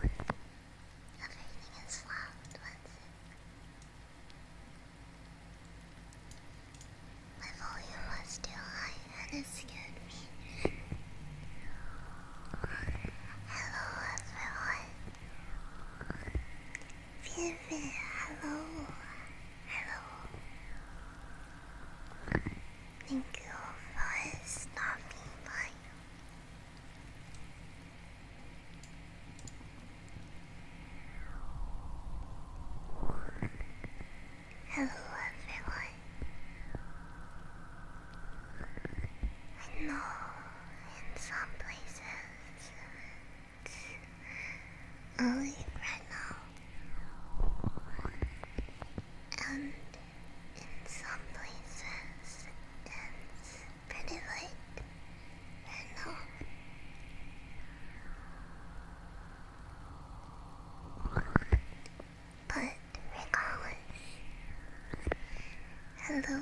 Everything is loud my volume was too high and it scared me. Hello everyone. 菲菲，hello，hello。Thank you for stopping by. Hello everyone. I know in some places only right And in some places it's pretty late But regardless, hello.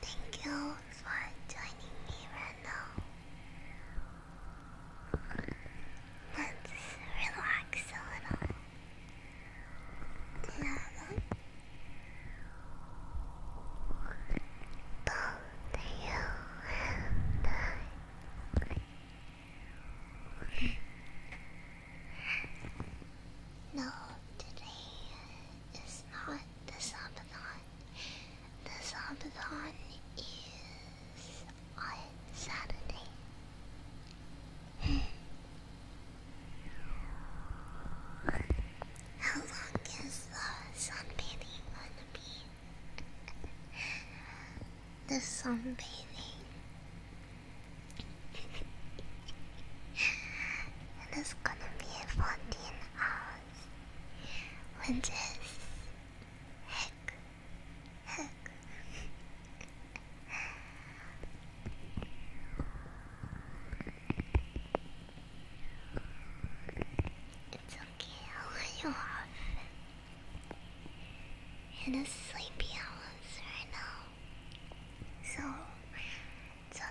Thank you for joining me right now. Let's relax a little. Yeah, both No, today it's not the subathon. The subathon is on Saturday. How long is the sunbathing gonna be? the sunbathing. It is gonna be 14 hours lenses. Heck, heck. It's okay, I'll off. In a sleepy hours right now. So it's okay.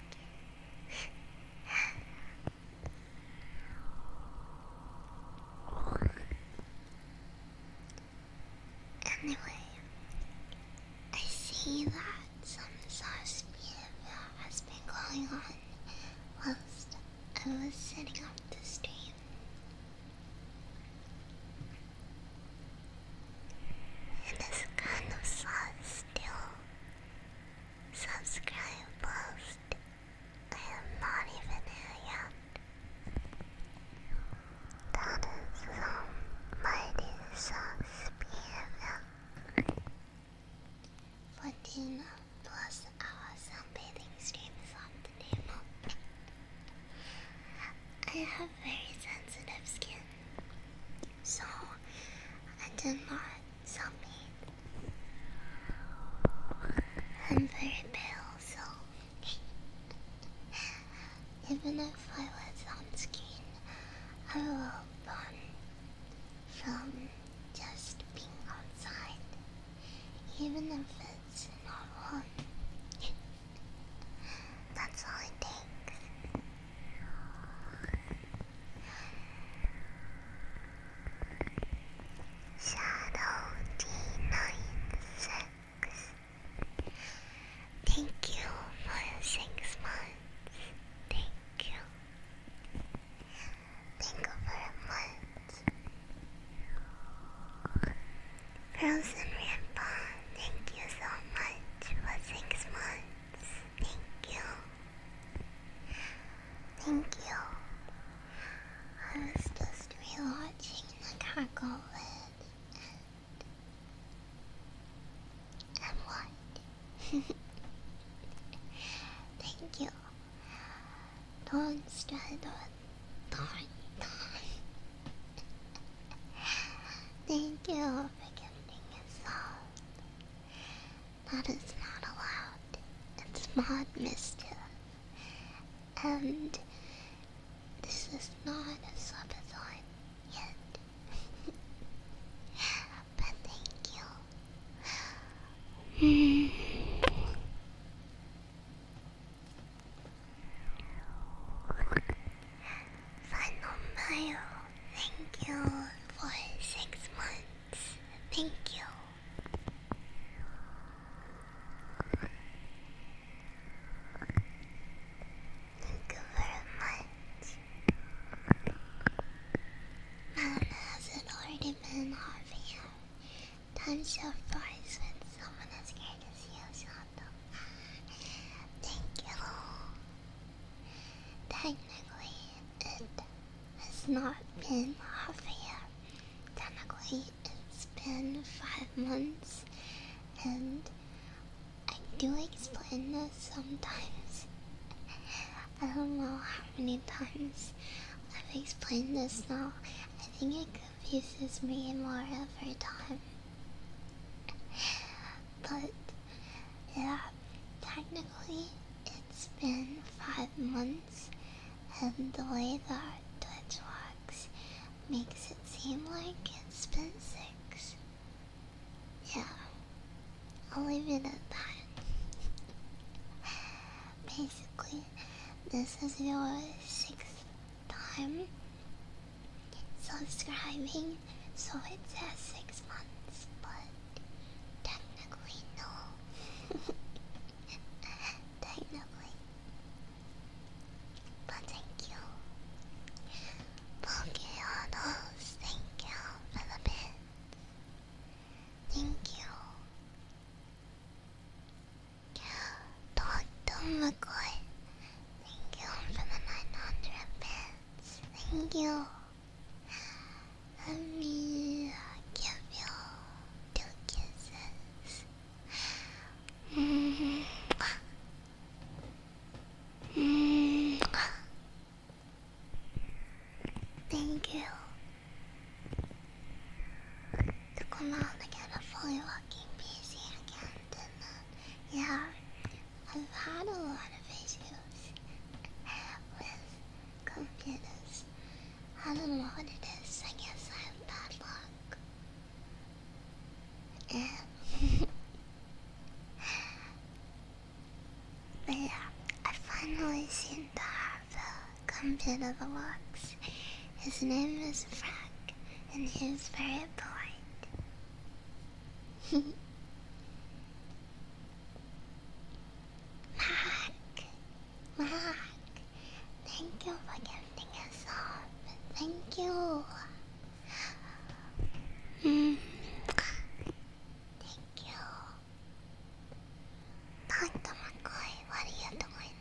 anyway, I see that some sauce has been going on whilst I was setting up the stream. It is kind of sad still subscribe post. I am not even here yet. That is some mighty sauce behavior. 14 plus hour sunbathing stream is on the name I have very sensitive skin. So I didn't want something. I'm very pale, so even if I was on screen, I will burn from just being outside, even if it's not warm. That's all I takes. Shadow D96. Thank you for six months. Thank you. Thank you very much. Frozen Rainbow, thank you so much for six months. Thank you. Thank you. I was just rewatching the Gargoyle and and what? Thank you. Don't stride on. Darn, darn. Thank you for giving us all. That is not allowed. It's mod Mister. And this is not a subathon yet. but thank you. Final Mayo, thank you for six months. Thank you. Thank you much. Man, has it already been half an hour? Time surprise when someone as great as you, Santo. Thank you. Technically, it has not been a yet. Technically, it's been five months, and I do explain this sometimes. I don't know how many times I've explained this now. I think it confuses me more every time. But yeah, technically, it's been five months, and the way that Twitch walks makes it seem like it's been six. Yeah, I'll leave it at that. Basically, this is your sixth time subscribing, so it says six months, but Technically, no. Technically. But thank you. Pokeonos, thank you for the bit. Thank you. Dr. McCoy, thank you for the 900 bits. Thank you. Let me give you kisses. Thank you. To come out and a fully walking PC again, didn't I? Yeah, I've had a lot of issues with go get us. I don't know what it is. I guess I have bad luck. but yeah, I finally seem to have the comfort of His name is Frank, and he very polite. Mac, Mac, thank you for giving us up. Thank you. Mm. Thank you. Dr. McCoy, what are you doing?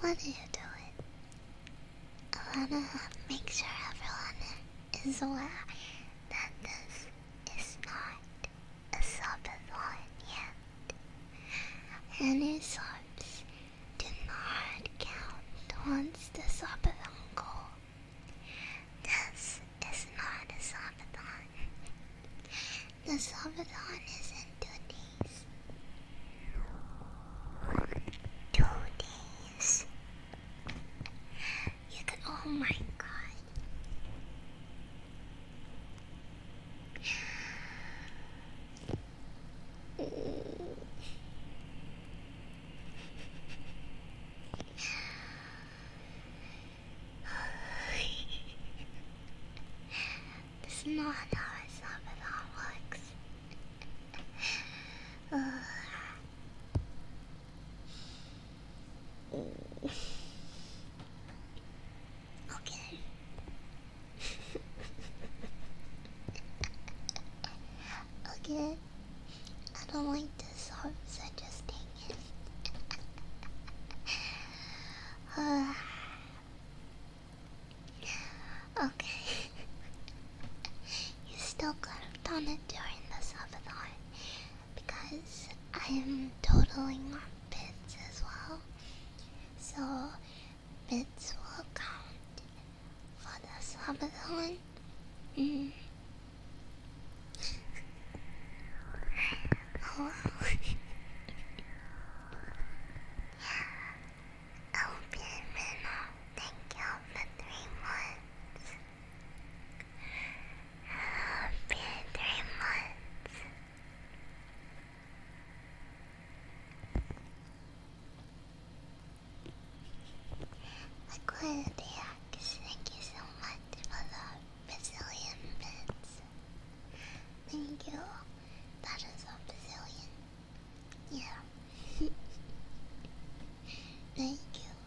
what are you doing? I wanna make sure everyone is aware that this is not a sobbing yet, and his sobs did not count once the sobathon goal. This is not a sobathon. The sobathon is in two days. Two days. Oh my god. this is not how it's not at all Okay. okay. I don't like this horse, I just take it. okay. you still could have done it during the Savathon because I am totaling on bits as well. So bits will count for the subathon. Mm. oh, oh, Pierre Thank you for three months been three months. Aquarius, thank you so much for the Brazilian bits. Thank you. That is a Brazilian. Yeah. thank you.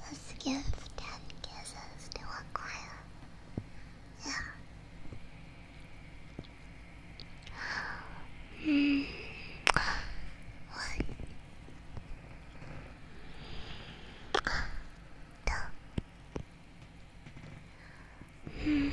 Let's give ten kisses to Aquila. Yeah. Mm. One. Two. Mm.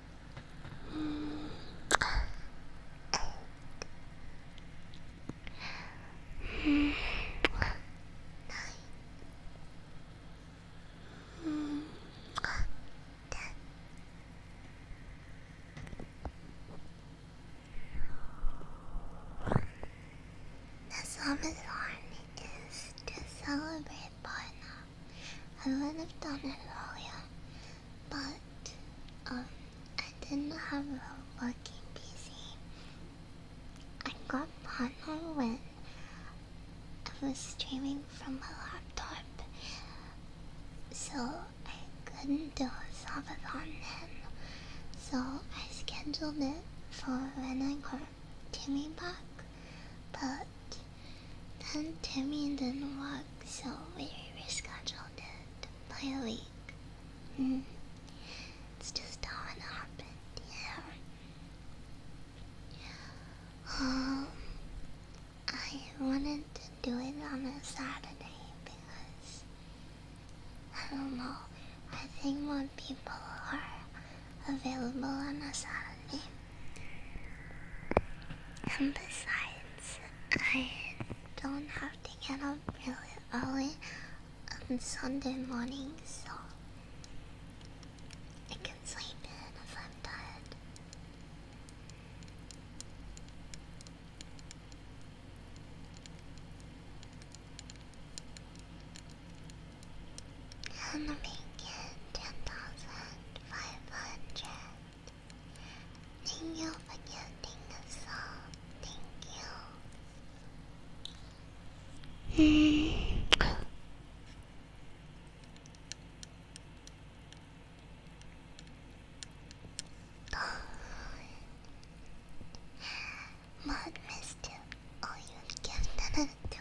The summer's on is to celebrate partner. I would have done it earlier, but um, I didn't have a working PC. I got partnered when I was streaming from my laptop, so I couldn't do a subathon then. So I scheduled it for when I got Timmy back, but then Timmy didn't walk so we rescheduled it by a week. Hmm. It's just how it happened, yeah. Um, I wanted to do it on a Saturday because, I don't know, I think more people are available on a Saturday. And besides, I don't have to get up really early on Sunday mornings, so I can sleep in if I'm tired. I'm making ten thousand five hundred. Thank you for getting the song. Thank you. Mud mischief. Oh, you've given it to a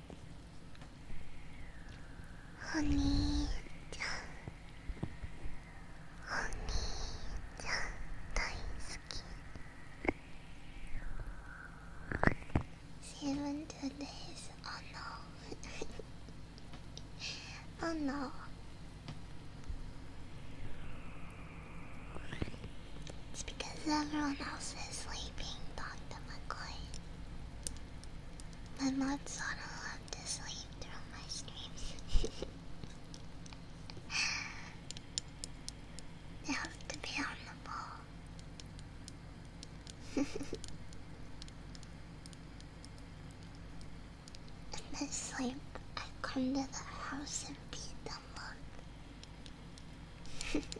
Honey, Seven days. Oh no. oh no. It's because everyone else is sleeping, Dr. McCoy. My mods ought to love to sleep through my dreams. they have to be on the ball. In my sleep, I come to their house and beat them up.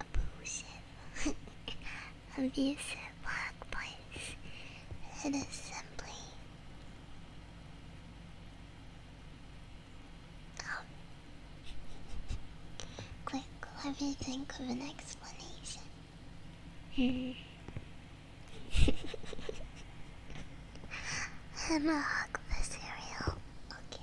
abusive, abusive workplace. It is assembly. Oh. quick. Let me think of an explanation. Hmm. I'm a hug for Okay.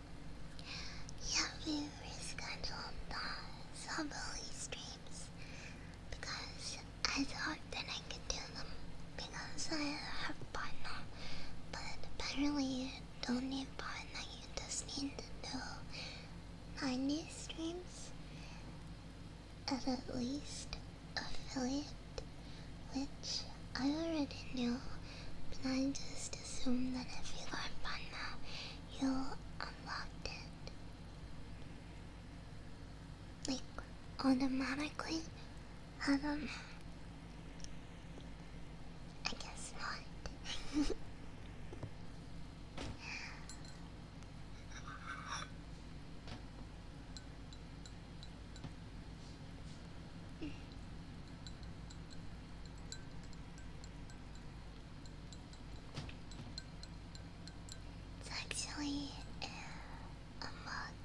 Yeah, we rescheduled the Soboli streams because I thought that I could do them because I have partner, but apparently you don't need partner, you just need to do new streams and at least affiliate, which I already knew, but I just assumed that if you are partner, you unlocked it. Like, automatically? Um, I guess not. It's actually a mug.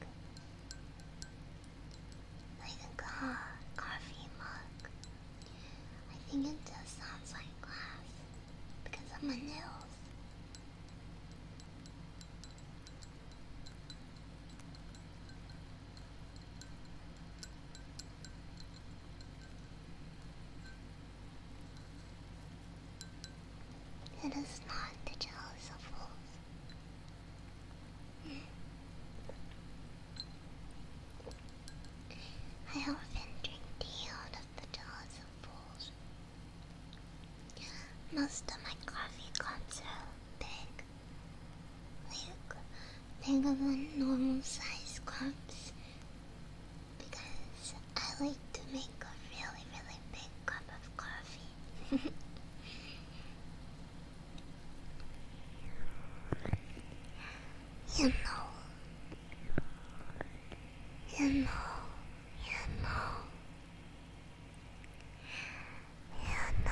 Like a coffee mug. I think it just sounds like glass because of my nails. It is not the jealous of fools. I often drink tea out of the jaws of fools. Most of my coffee comes out big bigger than normal size cups because I like to make a really, really big cup of coffee. you know, you know, you know, you know.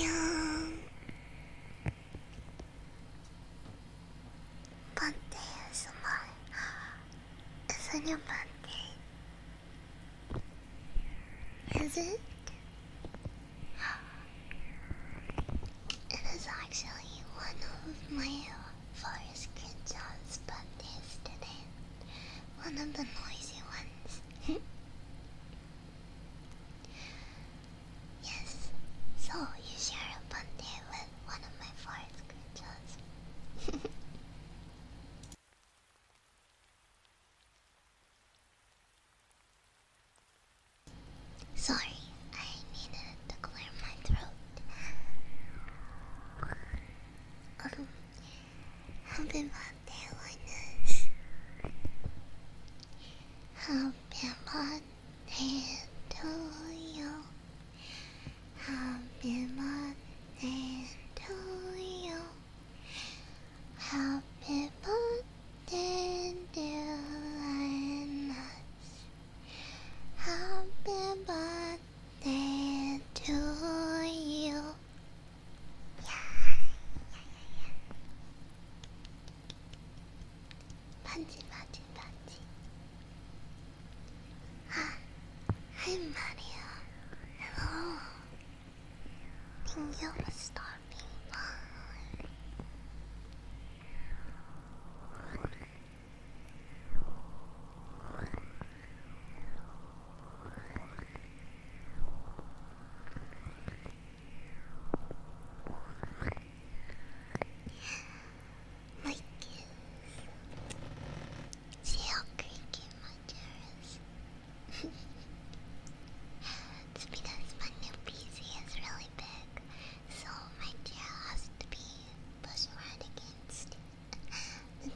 Yeah. 반대 ASMR It's a new Is it? It is actually one of my forest Kinshaw's panties today. One of the noisy ones. Yes, so you share a bun day with one of my foreign screenshots. Sorry, I needed to clear my throat. Um, i Happy birthday to you. Happy birthday to you. Happy birthday, dear Linus. Happy birthday to you. Yeah, yeah, yeah, yeah. Punchy, punchy, punchy. Ah, I'm Mario. Hello. Thank you for stopping my kiss. See creaky my chair is? it's because my new PC is really big, so my chair has to be pushed right against the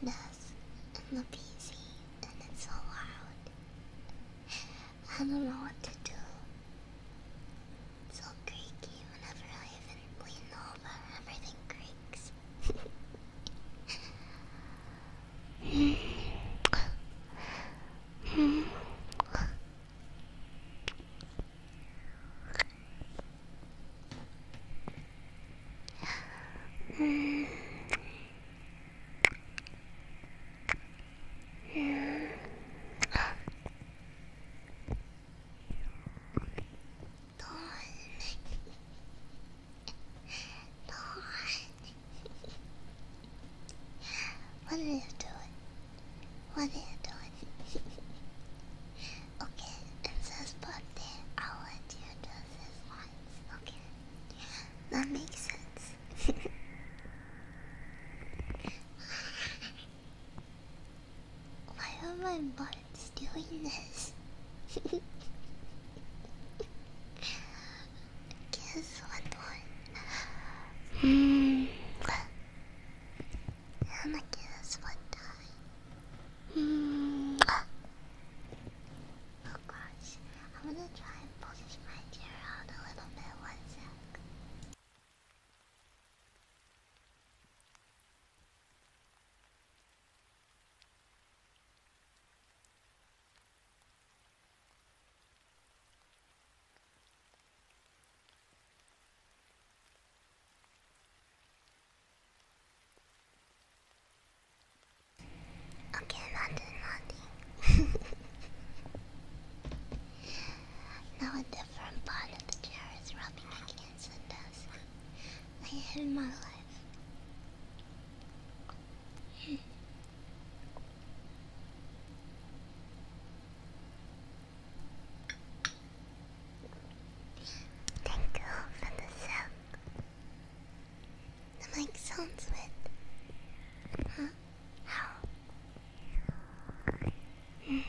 desk and the PC, and it's so loud. I don't know what to do. It's all creaky whenever I even lean over, everything creaks. What are you doing? What are you doing? okay, it says birthday. I'll let you do this once. Okay, that makes sense. Why are my buttons doing this? Guess what one? Mm. I'm gonna guess what time. Mm. Oh gosh. I'm gonna try and push my chair out a little bit. One sec. Okay, nothing, nothing. now a different part of the chair is rubbing against the desk. I hate my life. Thank you for the sound. The mic sounds weird. Mm.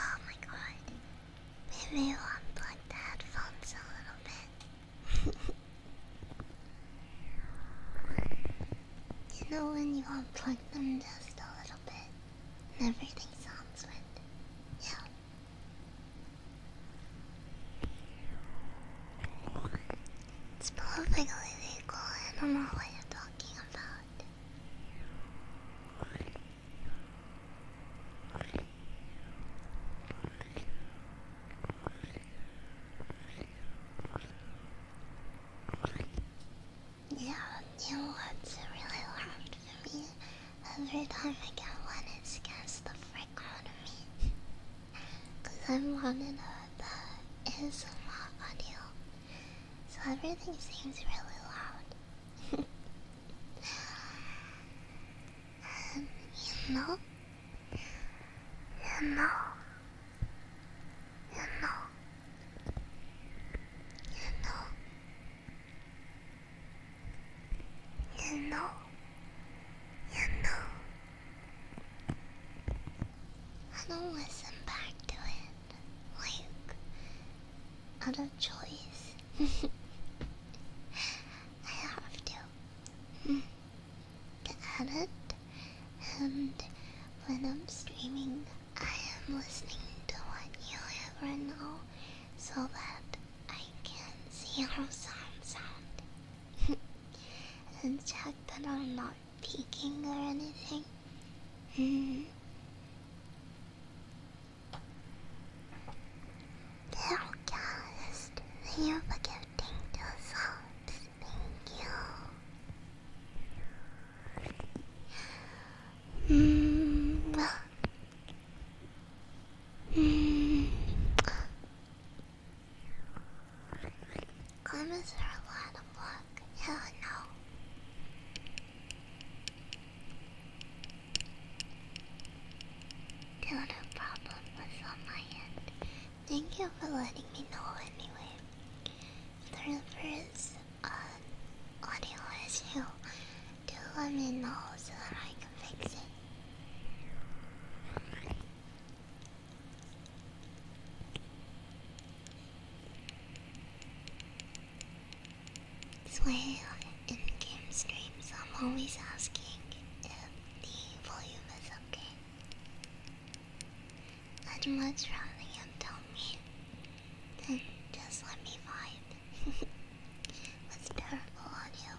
Oh my god. Maybe you unplug the headphones a little bit. you know when you unplug them just a little bit and everything sounds right. Yeah. It's perfectly legal. I don't know what you're talking about. Yeah, you know really loud for me? Every time I get one, it's against the frame. Cause I'm running the ASMR audio. So everything seems really loud. you know, you know, you know, you know, you know. You know, I don't listen back to it. Like, out of choice. I have to. To edit, and when I'm streaming, I am listening to what you have right now so that I can see how sounds sound. and check that I'm not peeking or anything. Darocast, thank you for gifting those subs. Thank you. -hmm. -hmm. Comments are a lot of luck. Hell no. Still no problem was on my end. Thank you for letting me know anyway. Through first audio issue, do let me know so that I can fix it. This in game streams, I'm always asking if the volume is okay. I'd much rather you tell me than just let me find. That's terrible audio.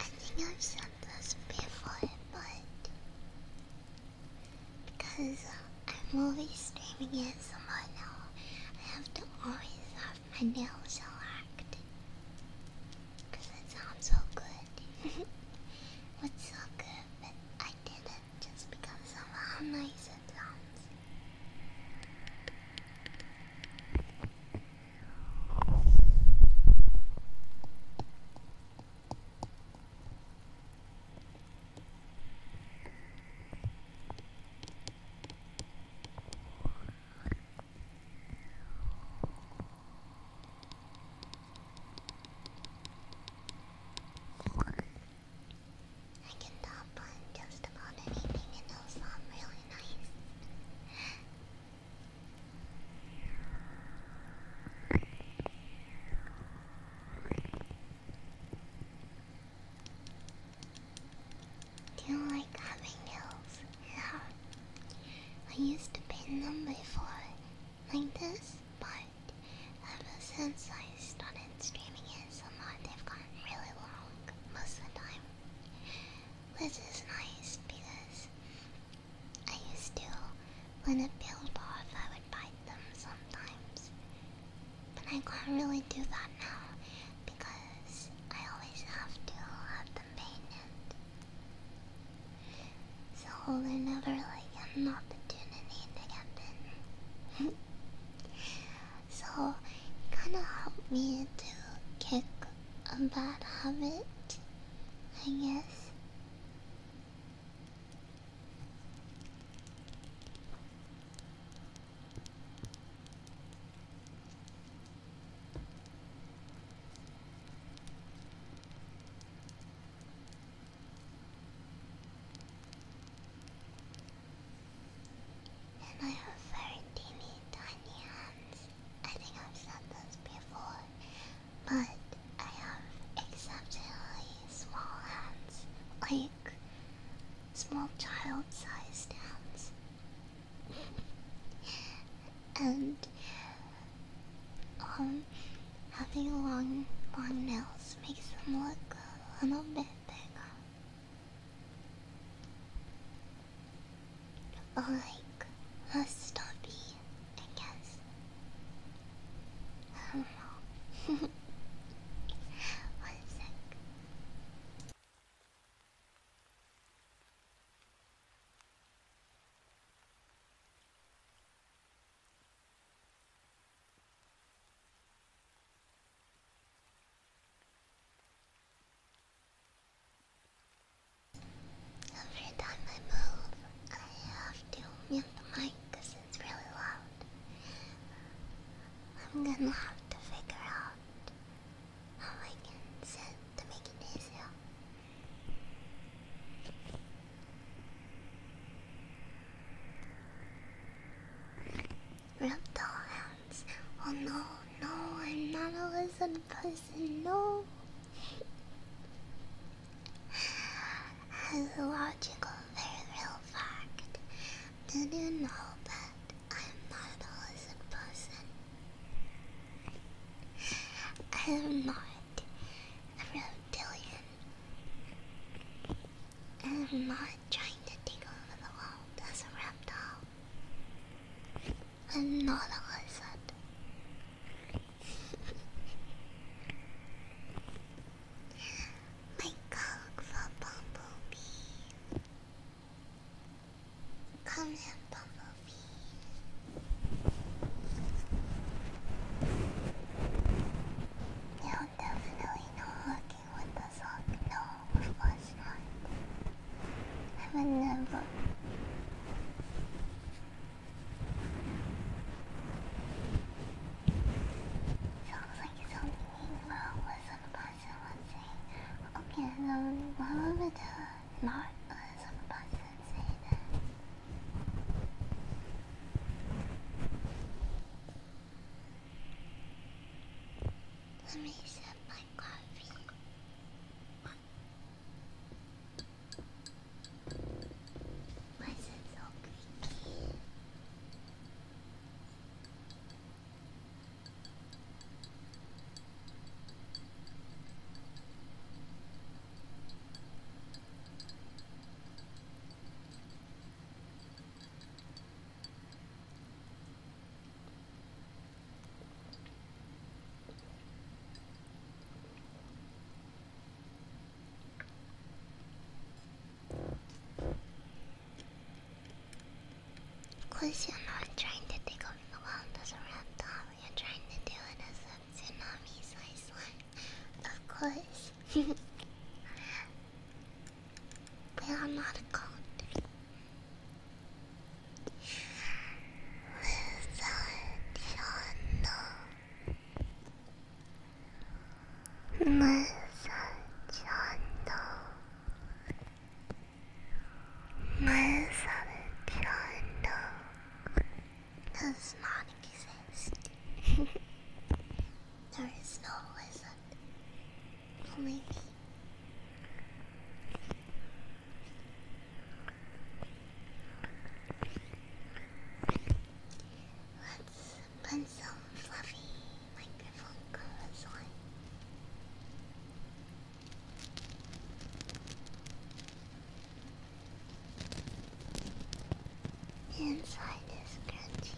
I think I've said this before, but because uh, I'm always streaming it somehow now, I have to always have my nails shellacked. Cause it sounds so good. it's so good, but I did it just because of how nice it sounds. I can top on just about anything and it sound really nice. Do you like having nails? Yeah. I used to paint them before, like this, but ever since I started streaming it so much, they've gotten really long most of the time. This is nice because I used to, when it peeled off, I would bite them sometimes. But I can't really do that now because I always have to have the painted. So there's never like an opportunity to happen. so it kinda helped me to kick a bad habit, I guess. And I have very tiny hands. I think I've said this before, but I have exceptionally small hands, like small child sized hands. and um, having long, long nails makes them look a little bit bigger. Like a stubby, I guess. I Every time I move, I have to mute the mic because it's really loud. I'm gonna have to figure out how I can set to make it easier. Reptile hands. Oh no, no, I'm not a lizard person, no. As a logical, very real fact, did you know that I'm not a lizard person? I am not a reptilian. And I'm not trying to take over the world as a reptile. I'm not a lizard. My cock for bumblebee. Come here, and Bumblebee. No, definitely not hooking with the sock. No, of course I would never. Sounds like it's only me about with say. Okay, then why would uh, not uh, some say that? Let me set my coffee. Why is it so creaky? Of course, you're not trying to take over the world as a reptile, you're trying to do it as a Tsunami's Iceland. Of course. we are not a country. Miss Chando, Miss Chando, does not exist. there is no wizard. Only me. fluffy microphone covers on inside is crunchy.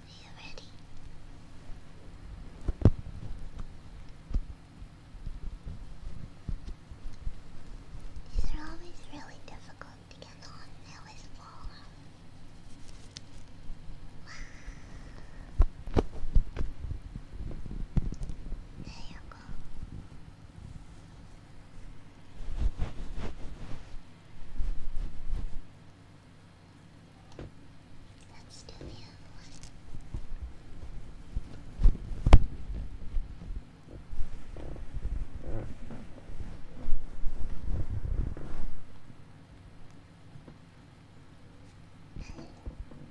Are you ready? These are always really difficult to get on, they always fall Wow. There you go. Let's do the other one.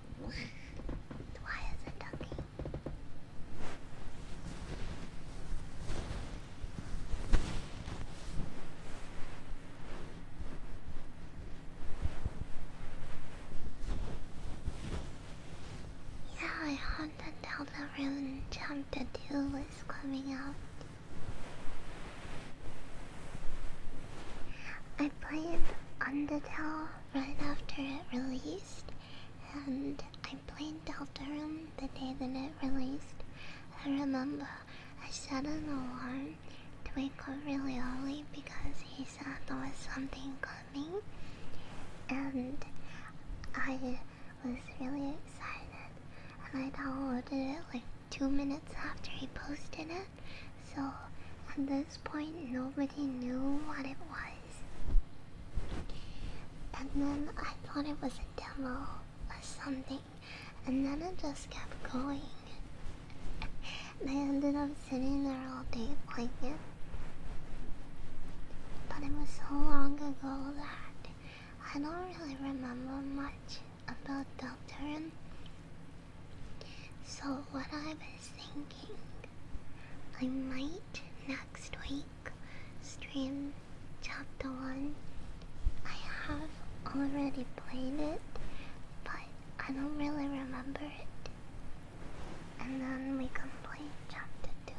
Yeah, I hunted down the room. Chapter 2 is coming up. I played Undertale right after it released, and I played Deltarune the day that it released. I remember I set an alarm to wake up really early because he said there was something coming, and I was really excited. And I downloaded it like two minutes after he posted it. So at this point, nobody knew what it was. And then I thought it was a demo or something, and then it just kept going. I ended up sitting there all day playing it. But it was so long ago that I don't really remember much about the turn. So what I've was thinking I might next week stream chapter 1. I have already played it, but I don't really remember it. And then we complete chapter 2.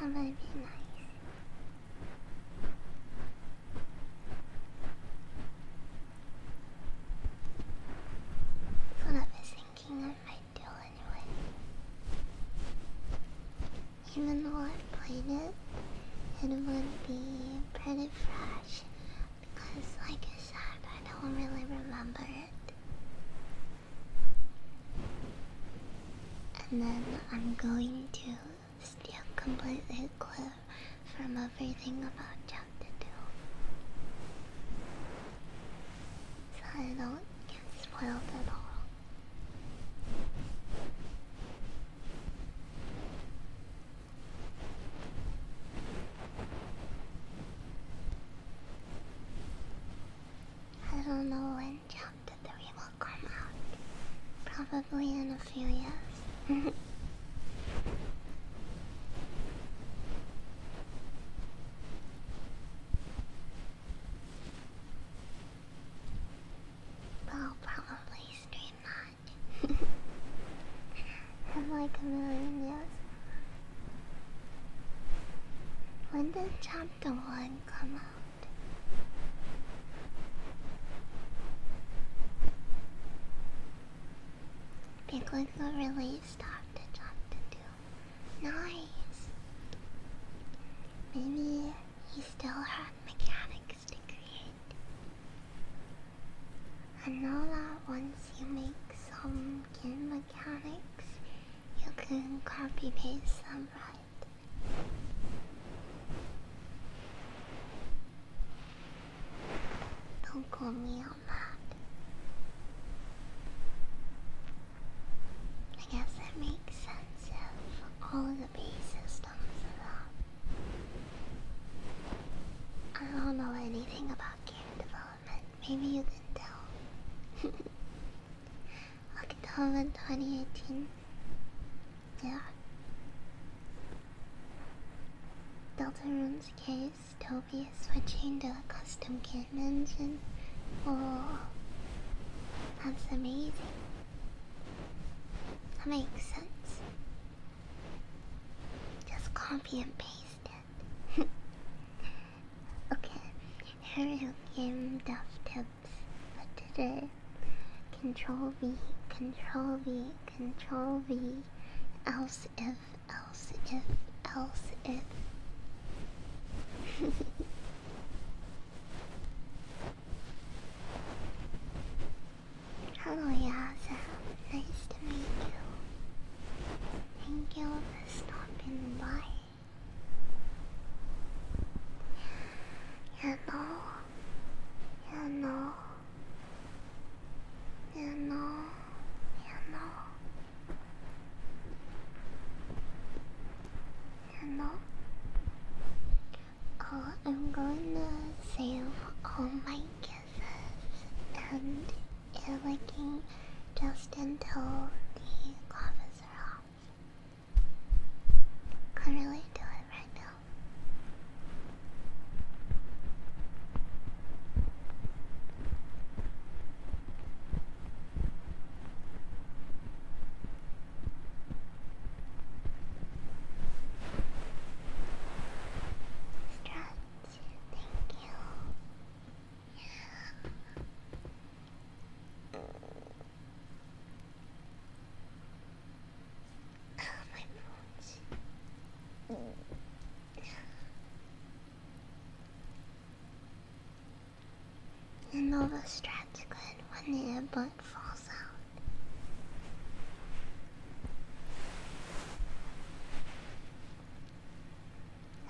That would be nice. That's I was thinking I might do anyway. Even though I played it, it would be pretty fresh because, like I said, I don't really remember it. And then I'm going to steal completely clear from everything about you. So I don't get spoiled at all. I don't know when chapter 3 will come out. Probably in a few years. I'll probably stream that. Have like a million years. When did chapter one come out? Big like stuff to jump to do. Nice. Maybe he still had mechanics to create. I know that once you make some game mechanics, you can copy paste them right. Don't call me I guess that makes sense of all the base systems of I don't know anything about game development. Maybe you can tell. October 2018. Yeah. Rune's case dystopia switching to the custom game engine. Oh, that's amazing. That makes sense. Just copy and paste it. okay, here are game dev tips for today. Control V, Control V, Control V, else if else if, else if. Hello, Yaza. Nice to meet you. Thank you for stopping by. You know, you know, you know, you know. Hello? Oh, I'm gonna save all my kisses and it'll be just until the gloves are off. can really do it right now. Stretch, thank you. Yeah. Oh, my bones. The Nova good when the earbud falls out.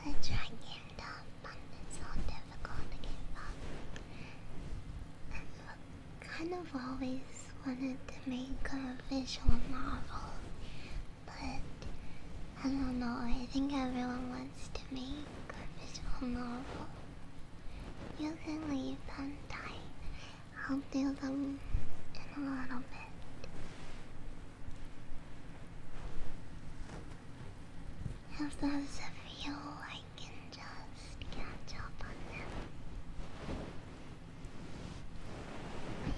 I try getting up, but it's so difficult to get up. I've kind of always wanted to make a visual novel but I don't know, I think everyone wants to make garbage novel. You can leave them time. I'll do them in a little bit. If there's a few, I can just catch up on them.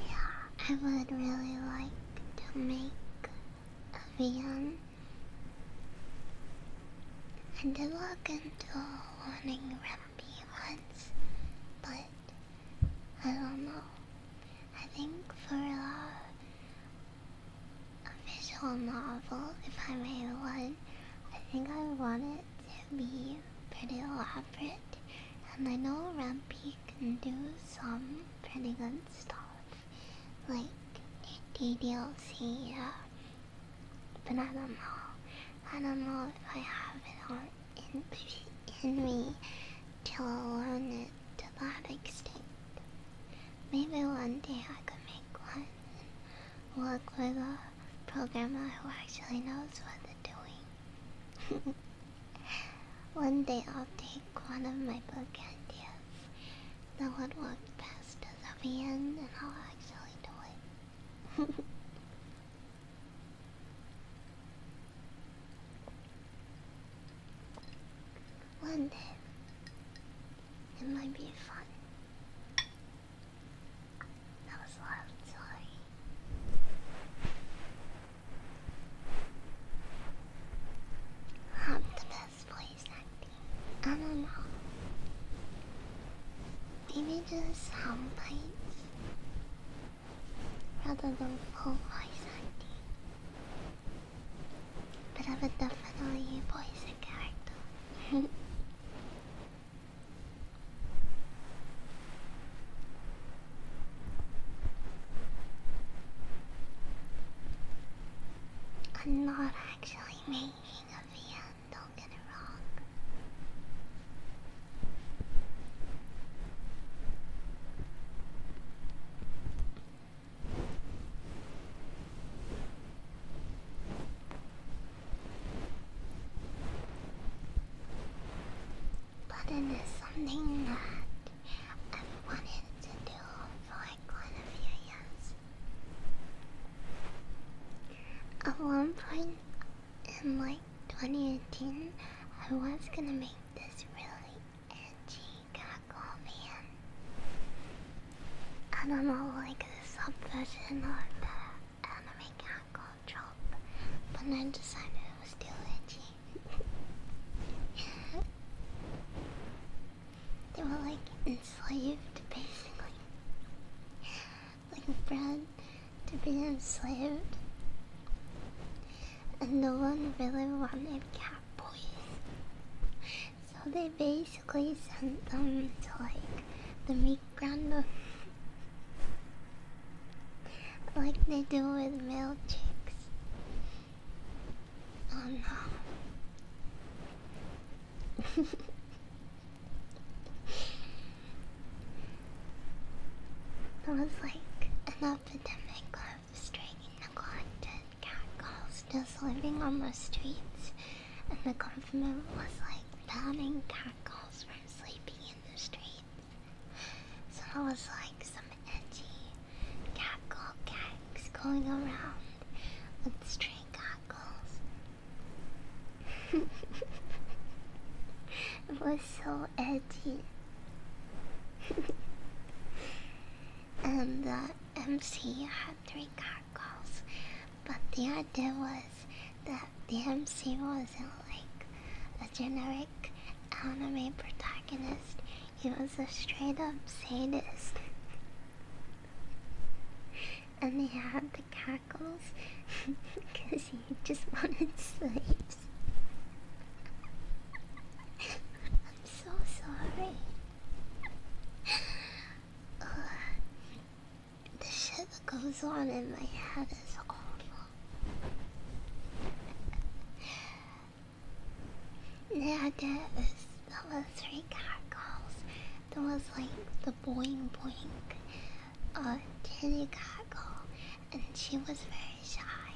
Yeah, I would really like to make a VM and did walk into wanting Rumpy once, but I don't know. I think for a, a visual novel, if I made one, I think I want it to be pretty elaborate. And I know Rumpy can do some pretty good non Like the DLC uh, but I don't know. I don't know if I have it on in, in me to learn it to that extent. Maybe one day I could make one work with a programmer who actually knows what they're doing. One day I'll take one of my book ideas, no one walks past as a the and I'll actually do it. One day, it might be fun. That was a lot I'm the best voice acting. I don't know. Maybe just sound bites rather than full voice acting. But I would definitely voice a character. I'm not actually making a VM, don't get it wrong. But it is something that i wanted to do for like quite a few years. At one point in like 2018, I was gonna make this really edgy cackle man. I like a subversion of the anime cackle trope, but then decided it was too edgy they were like enslaved, basically. Like bred to be enslaved. And no one really wanted cat boys. So they basically sent them to like the meat grinder. like they do with male chicks. Oh no. there was like an epidemic of stray neglected catcalls just living on the streets, and the government was like banning catcalls from sleeping in the streets. So it was like, some edgy cackle gangs going around with straight cockles. it was so edgy. and the MC had three cockles, but the idea was that the MC wasn't like a generic anime protagonist. He was a straight up sadist. And he had the cackles because he just wanted slaves. I'm so sorry. the shit goes on in my head is awful. Then I did this. was three cargoes. There was like the boing boing, uh, titty cargo, and she was very shy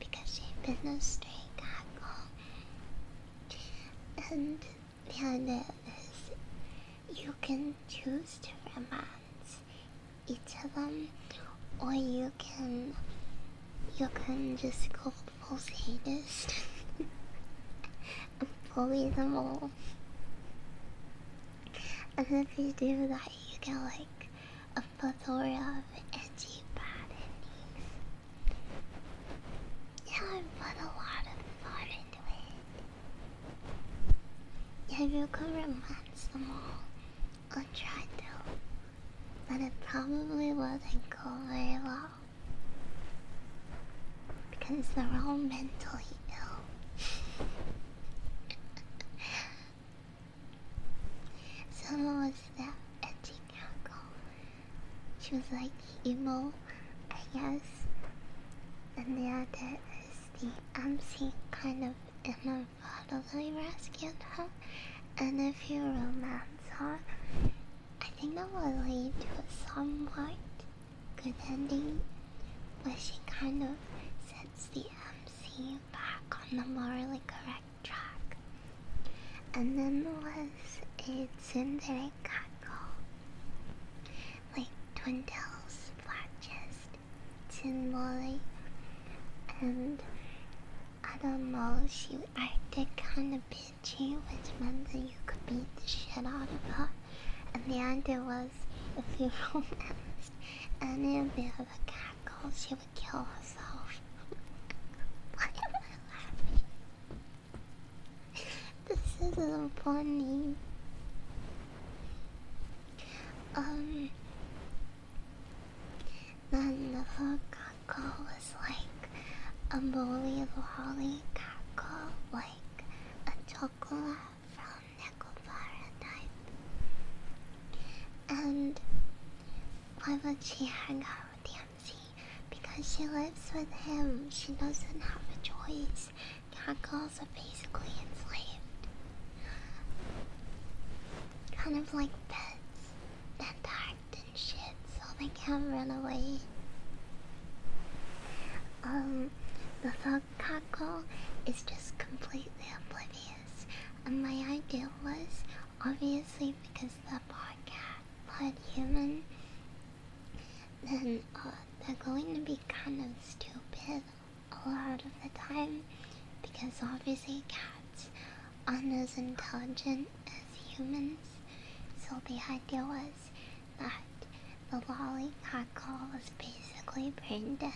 because she'd been a stray cargo. And then there is, you can choose different ones, each of them, or you can, you can just go most haters. I'm probably them all. And if you do that, you get like a plethora of edgy baddies. Yeah, I put a lot of thought into it. Yeah, you could romance them all. I'll try to but it probably would not go very well because they're all mentally ill. Someone was there at Uncle. She was like emo, I guess. And the other is the MC kind of in a bodily rescued her and a few romance are. I think that will lead to a somewhat good ending, but she kind of sets the MC back on the morally correct track. And then was a tsundere kako, like Twin Tails, Black Chest, Tin Molly, and I don't know, she acted kinda bitchy, which meant that you could beat the shit out of her. And the idea was, if you romanced And a the other guy called. she would kill herself. Why am I laughing? This isn't funny. Um, then the whole was like a molly of holly cackle, like a chocolate from Nickel Paradise. And why would she hang out with DMC? Because she lives with him, she doesn't have a choice. Cackles are basically enslaved. Kind of like beds that are and shit so they can run away. Um, the thug cockle is just completely oblivious, and my idea was obviously because the bar cat blood human, then uh, they're going to be kind of stupid a lot of the time because obviously cats aren't as intelligent as humans, so the idea was that the lollipop call was basically brain dead.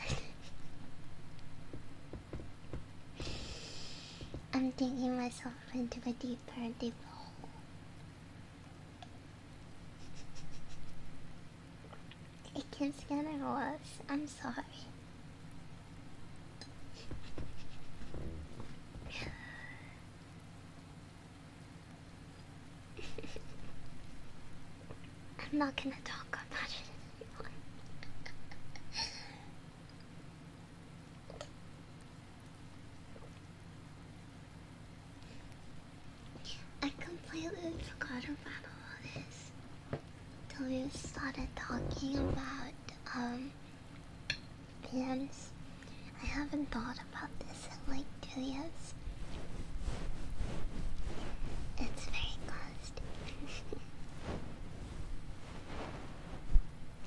I'm digging myself into a deeper and deeper hole. It keeps getting worse. I'm sorry. I'm not gonna talk about it anymore. I completely forgot about all this till we started talking about um be I haven't thought about this in like two years. It's very closed.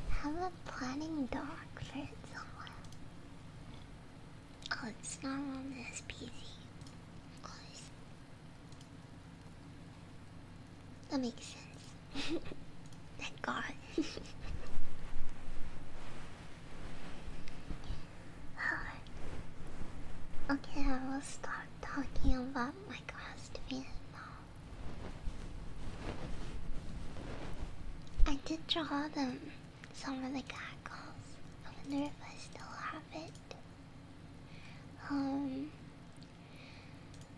Have a planning dog for it somewhere. Oh, it's not on this PC. That makes sense. Thank God. okay, I will start talking about my costume now. I did draw them, some of the cackles. I wonder if I still have it. Um,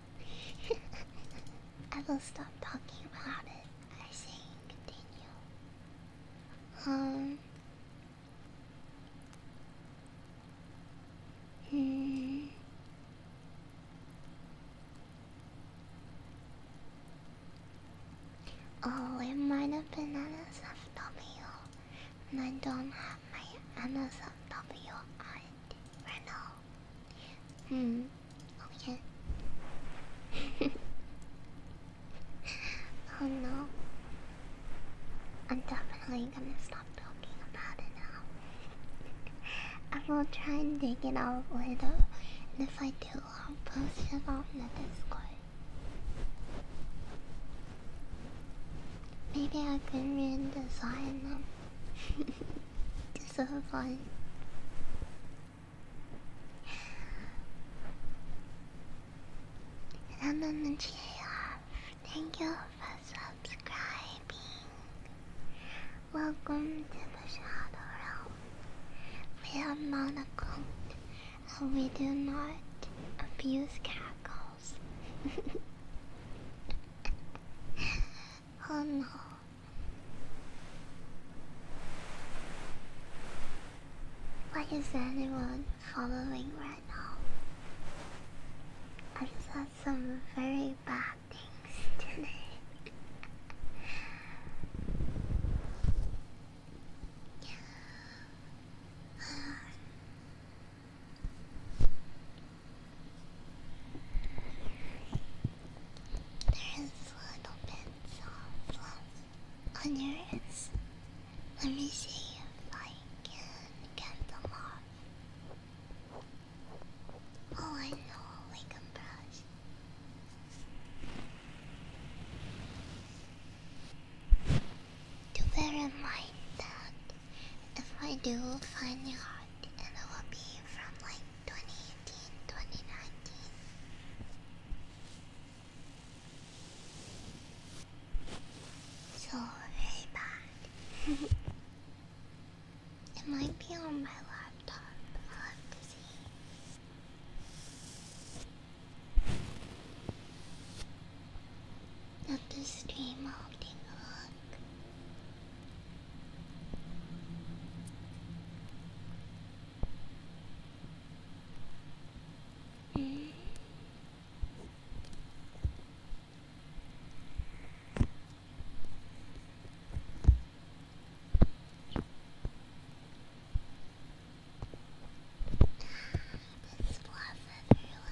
I will stop talking about it. I say continue. Um. Hmm. Oh, it might have been I don't have my NSFW ID right now. Hmm. Oh oh no. I'm definitely gonna stop talking about it now. I will try and take it out later. And if I do, I'll post it on the Discord. Maybe I can redesign them. Just so fun. And I'm Thank you for subscribing. Welcome to the Shadow Realm. We are monocloned and we do not abuse cats. Oh no. Why is anyone following right now? I've said some very bad things today. There's little bits of fluff on your ears. Let me see if I can get them off. Oh, I know, like a brush. Do bear in mind that if I do find your heart, it will be from like 2018, 2019. So very it might be on my laptop. I'll to see. At the stream, I'll there's blood everywhere.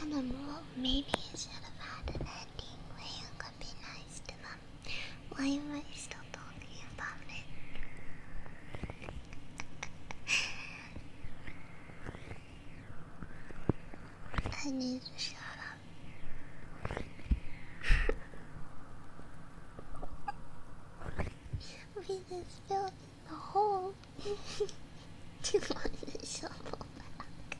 And then, well, maybe I should have had an ending where you could be nice to them. Why am I still talking about it? I need to shut up. we just filled in the hole do you want the shovel back?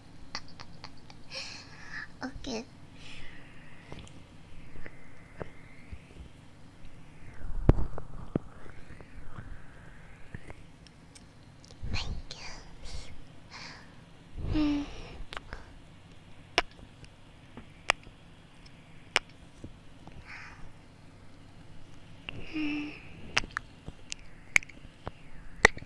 okay. Thank you. Mm. Mm.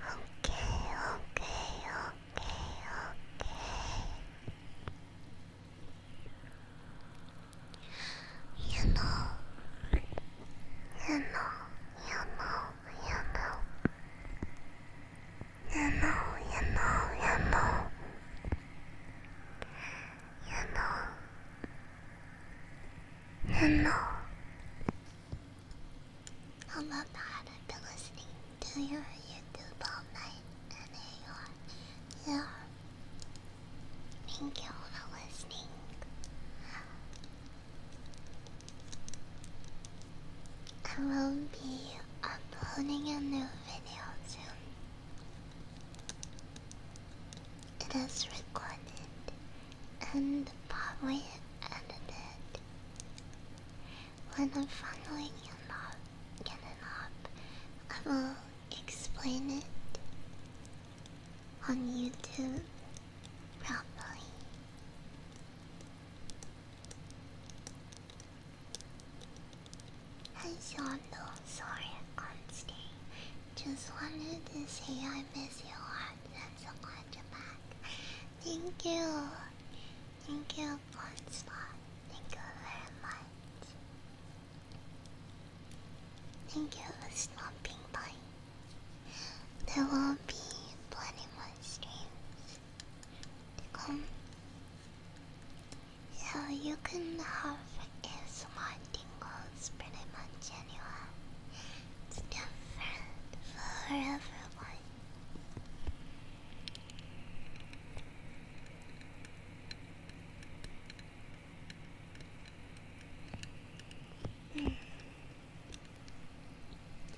Okay, okay, okay, okay. You know, you know, you know, you know. Hello. How about that? I've been listening to your YouTube all night, and Yeah. Thank you for listening. I will be uploading a new video soon. It is recorded and probably edit it when I'm finally getting up, getting up, I will explain it on YouTube properly. Hi Shondo, sorry I can't Just wanted to say I miss you a lot back. That's a quadra back. Thank you. Thank you, Bonspot. Thank you very much. Thank you for stopping by. There will be plenty more streams to come. So you can have ASMR tingles pretty much anywhere. It's different for everyone.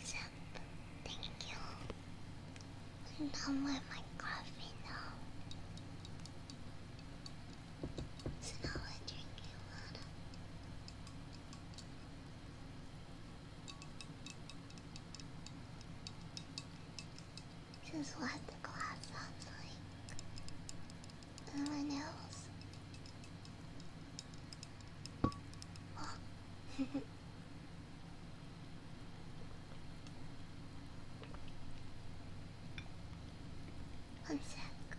So, thank you. I'm with my coffee now. So now I drink water. Just let the glass sounds my nails. Oh. One sec.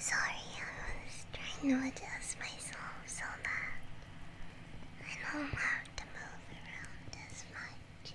Sorry, I was trying to adjust myself so that I don't have to move around this much.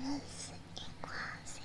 It is equalizing.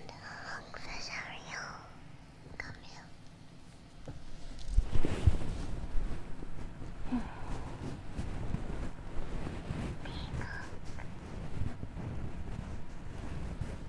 And how fresh are you? Come here. Peacock.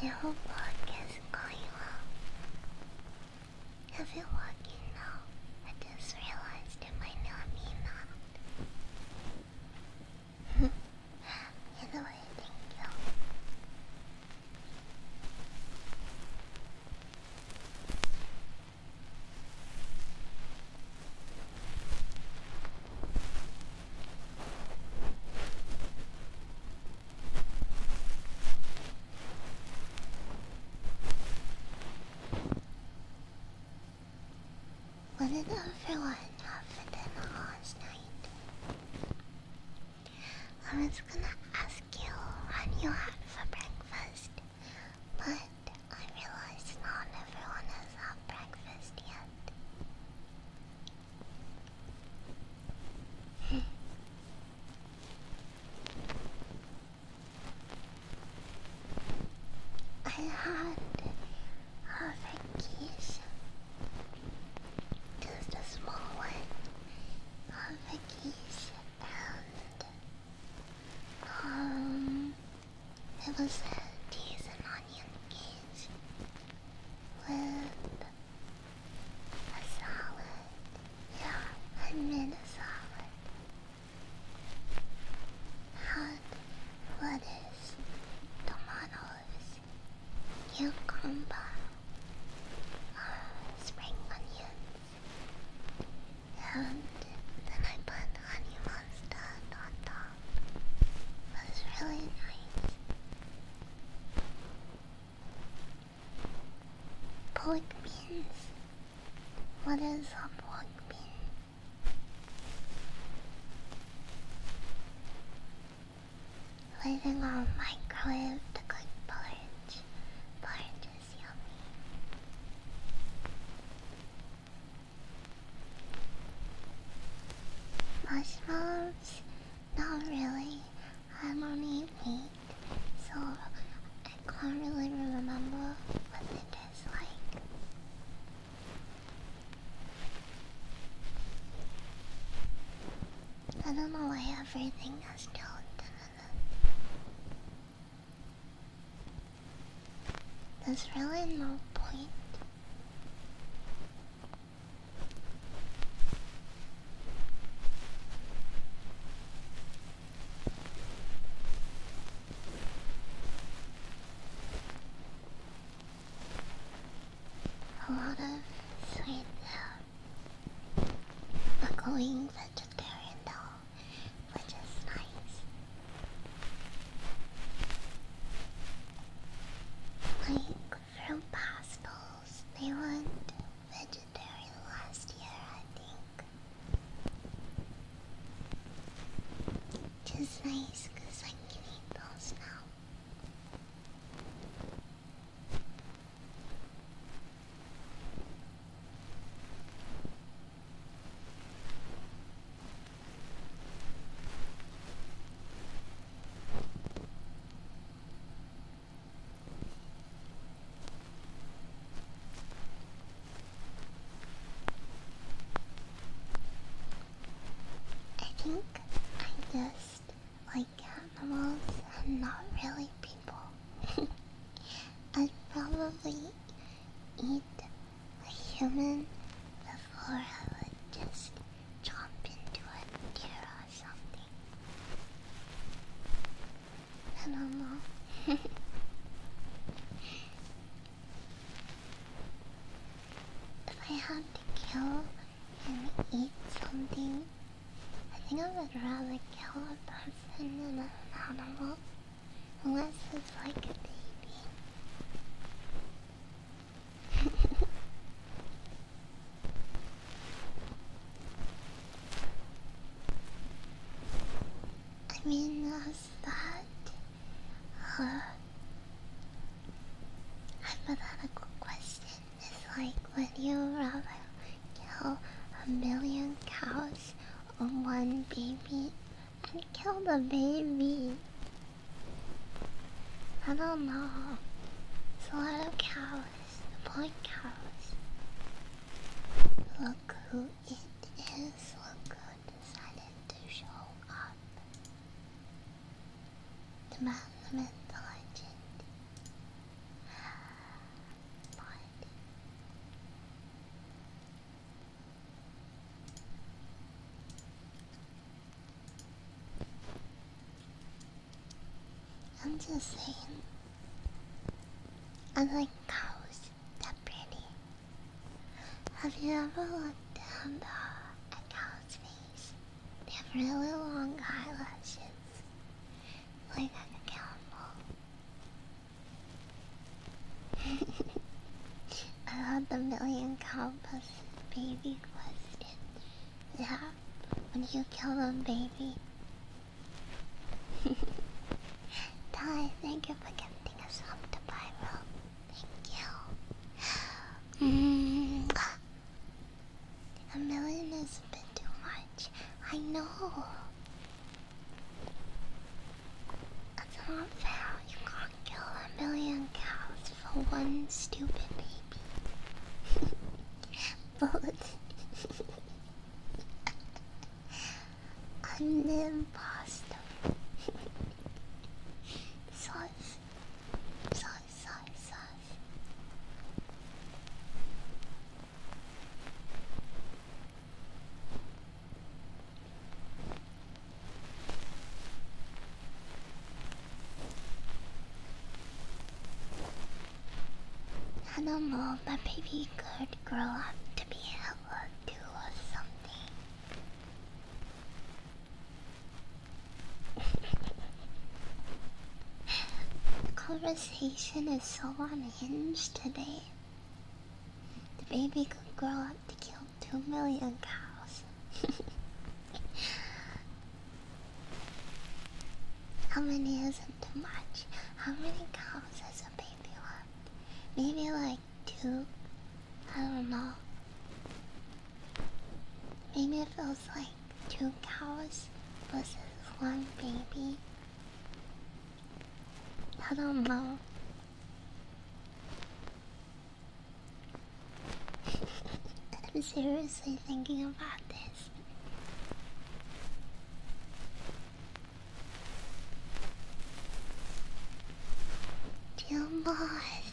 I hope work is going well. Have you walking now? I just realized it might not mean that. Either thank you. What did everyone have for dinner last night? I was gonna ask you what you had for breakfast, but I realized not everyone has had breakfast yet. I had a vacation. Just a small one. A vacation and um it was a cheese and onion cage with a salad. Yeah, I made a salad. Had lettuce, tomatoes, cucumber, uh, spring onions, and then I put honey mustard on top. That was really nice. Pork beans. What is a pork bean? Living on microwave to cook porridge. Porridge is yummy. Mushrooms? Not really. I don't eat meat, so I can't really remember what it like. I don't know why everything has gelatin There's really no point a lot of sweet uh, um, bucklings vegetarian though, which is nice. Like from pastels, they went vegetarian last year, I think. Just is nice because I can eat those now. I think I just like animals and not really people. I'd probably eat a human before I would just jump into a deer or something. I if I had to kill and eat something, I think I would rather kill a person than an animal. Unless it's like a baby. I mean, how's that? Huh? Hypothetical question is like, would you rather kill a million cows or one baby and kill the baby? I don't know. It's a lot of cows, the point cows. Look who it is, look who decided to show up. The man, legend. But I'm just saying. I like cows. They're pretty. Have you ever looked down the, cow's face? They have really long eyelashes. Like a cowboy. I love the million cows baby was it? that when you kill a baby. Ty, thank you for gifting us up to Pyro. Thank you. Mm. A million is a bit too much. I know. That's not fair. You can't kill a million cows for one stupid baby. Both. I'm the imposter. sauce. Sauce, sauce, sauce. Animal, my baby could grow up to be hella do or something. the conversation is so unhinged today. The baby could grow up to kill two million cows. How many isn't too much? How many cows has a baby want? Maybe like two? I don't know. Maybe it feels like two cows versus one baby. I don't know. I'm seriously thinking about this. Jumbo,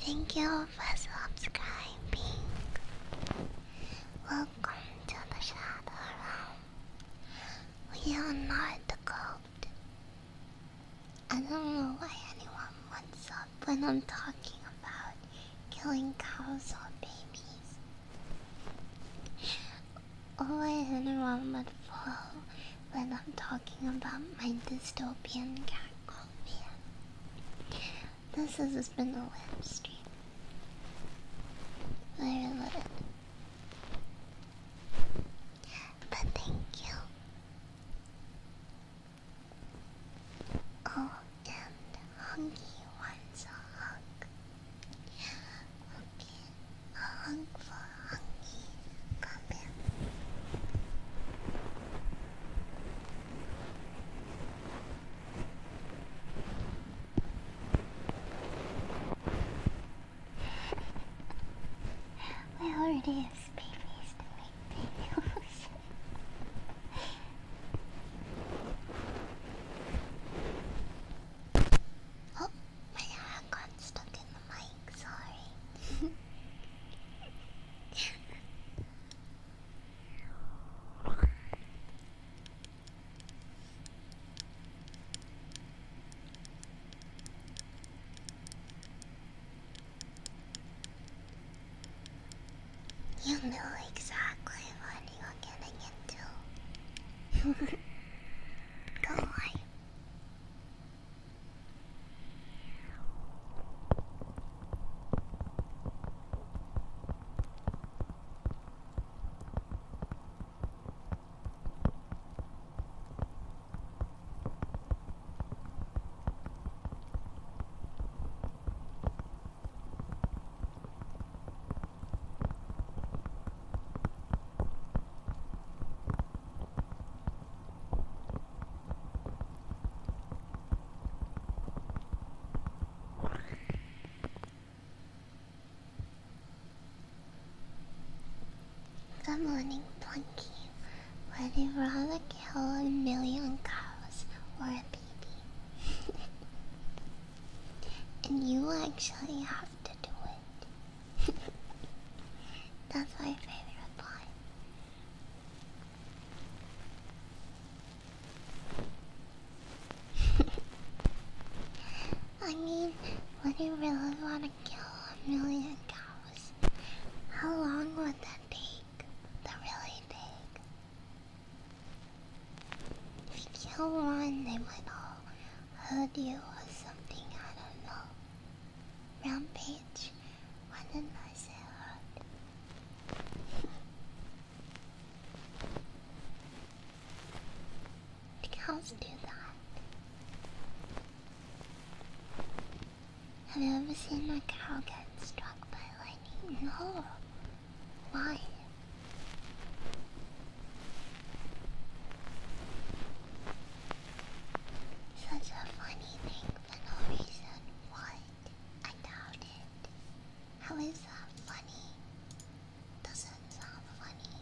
thank you for subscribing. Welcome to the Shadow Realm. We are not the goat. I don't know why anyone would sub when I'm talking about killing cows or babies. Or in Roman 4 when I'm talking about my dystopian cat, man. This has been a web stream. Very little. But thank you. Oh, and Hunky wants a hug. Okay, a hug Come here. we already have babies to make videos. Oh, my got stuck in the mic, sorry. You know exactly what you are getting into. do Good morning, Plunky. Would you rather kill a million cows or and you actually have to do it. That's my favorite part. I mean, would you really want to kill a million cows? How long would that take? That really take? If you kill one, they might all hurt you or something, I don't know. Rampage, why did I say hurt? Cows do that. Have you ever seen a cow get struck by lightning? No. Oh, why? Such a funny thing for no reason. What? I doubt it. How is that funny? Doesn't sound funny.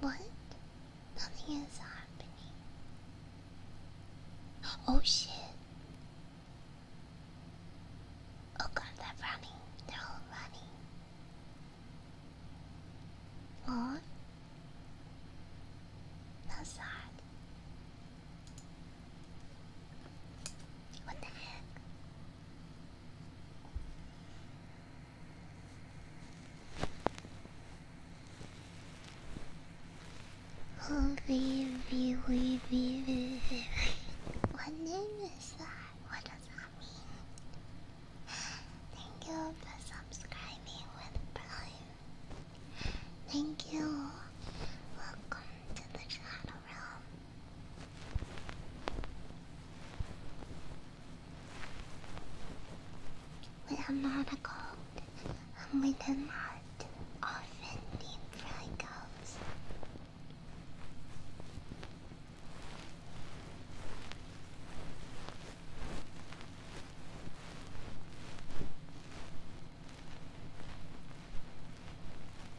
What? Nothing is happening. Oh shit. Oh god, they're running. They're all running. Oh, that's sad. What the heck? Oh baby, baby, baby. What name is that? What does that mean? Thank you for subscribing with Prime. Thank you. Welcome to the Shadow Realm. We are not a goat. I'm with a not often named fried goats.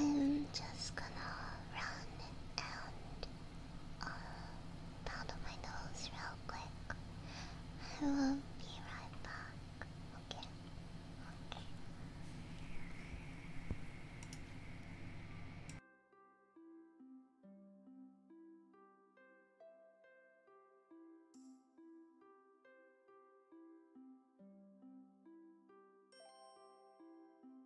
I'm just gonna run and uh, powder my nose real quick. I will be right back. Okay. Okay.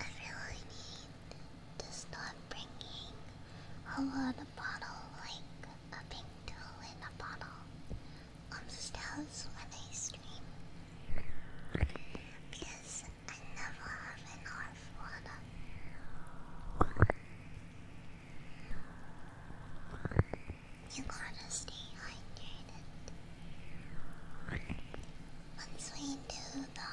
I really need to stop bringing a water bottle, like a pink tool in a bottle, on when I stream. Because I never have enough water. You gotta Once we do the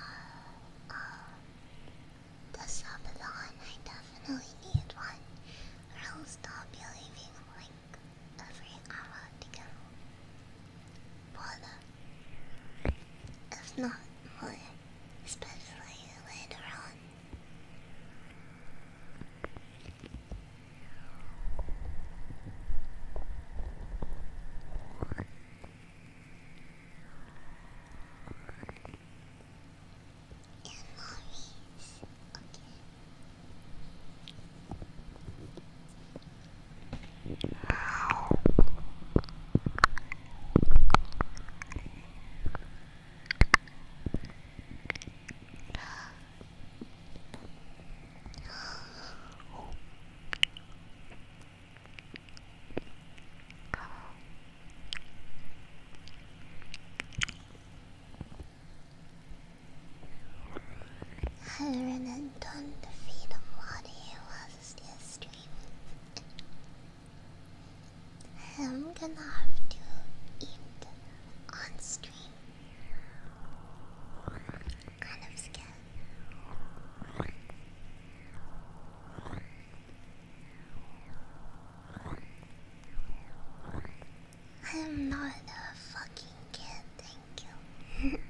the subathon, I definitely need one, I'll stop believing like every hour to go. if not more especially later on. In movies, okay. I ran and done the freedom while he was still streaming. I'm gonna have to eat on stream. I am not a fucking kid, thank you.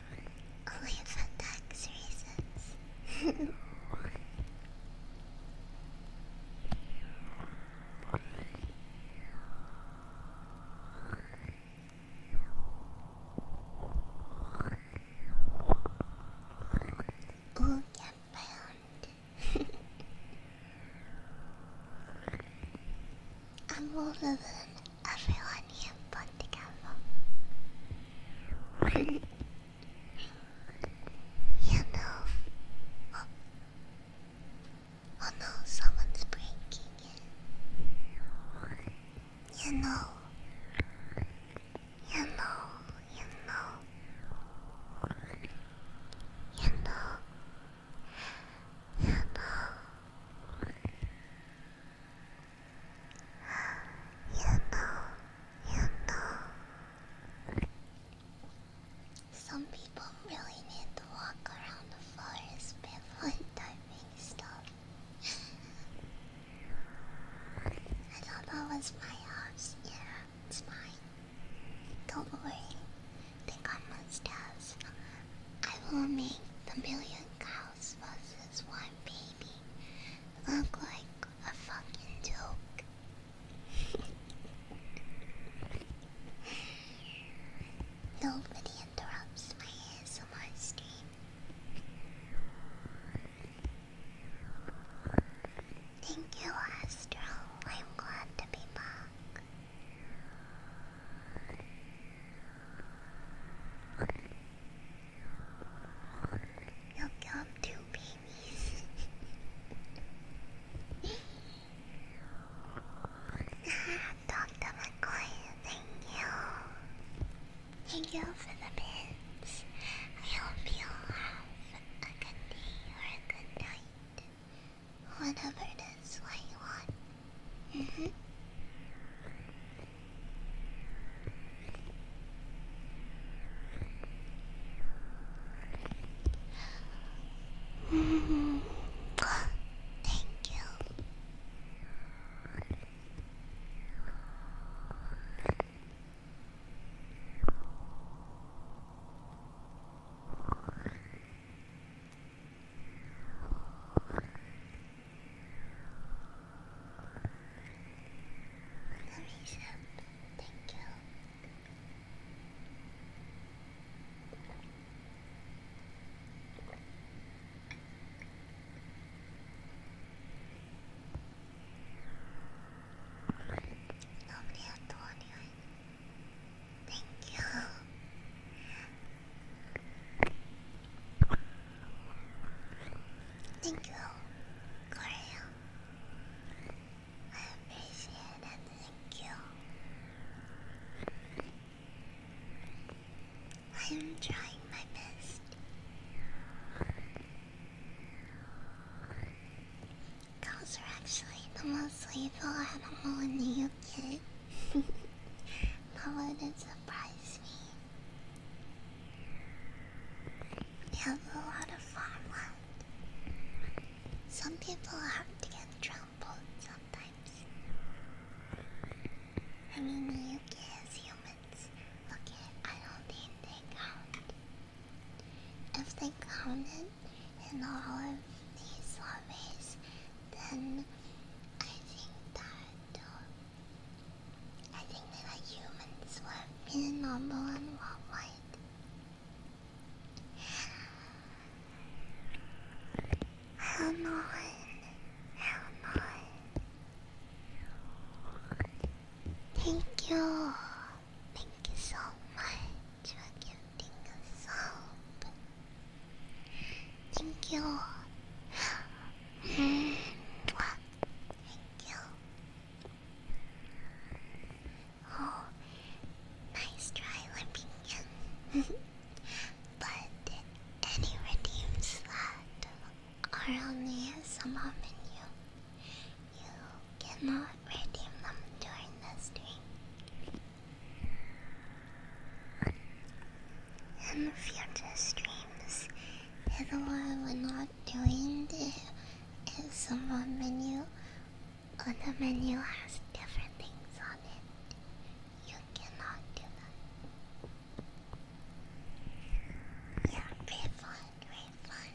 Only for tax reasons. oh, get bound. I'm older than everyone here you know. Oh. oh someone's breaking it. You know. You know, you know. You know. You know. You know, you know. Some people really need to walk around the forest barefoot typing stuff. I thought that was my house. Yeah, it's mine. Don't worry. They got mustaches. I will make the million cows was one baby look like a fucking joke. Nobody interrupts my ASMR stream. Thank you, Astro. I'm glad to be back. Look up, two babies. Dr. McCoy, thank you. Thank you for the bits. I hope you have a good day or a good night. Whatever it is, what want. -hmm. -hmm. Thank you. Very soon. Thank you. Lovely Antonio. Thank you. Thank you, Korea. I appreciate it. Thank you. I am trying my best. Cows are actually the most lethal animal in the UK. that wouldn't surprise me. We have a lot of fun. Some people have to get trampled sometimes. I mean, you guys, humans. Okay, I don't think they count. If they counted in all of these surveys, then I think that. I think they humans were really normal worldwide. How annoying. How annoying. Thank you. Thank you so much for gifting us hope. Thank you. Hmm, Thank you. Oh, nice try, Limpingan. but any redeems that are on the menu, you cannot redeem them during the stream. In future streams, Otherwise, we're not doing the ASMR menu. On the menu has different things on it. You cannot do that. Yeah, refund, refund.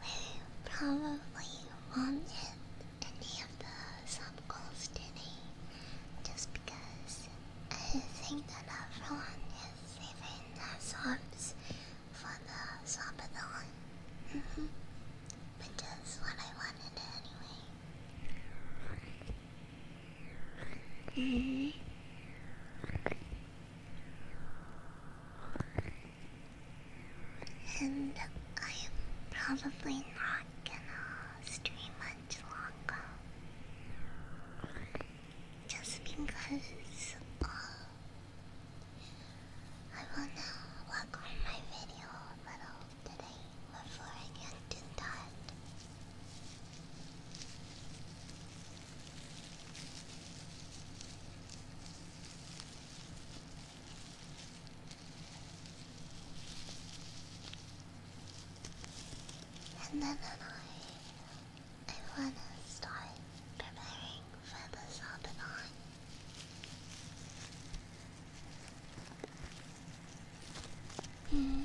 We probably wanted any of the sub goals today just because I think that everyone is saving their subs for the subathon. Mm -hmm. Which is what I wanted anyway. And I am probably not gonna stream much longer. Just because uh, I wanna work on my video a little today before I get to that. And then I, I want to start preparing for the Sabaton. Mm-hmm.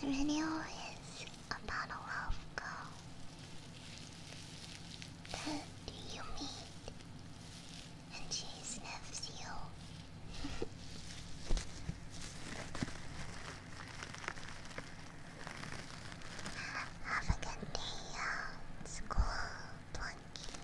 The video is about a love girl that you meet, and she sniffs you. Have a good day at school, Plunky.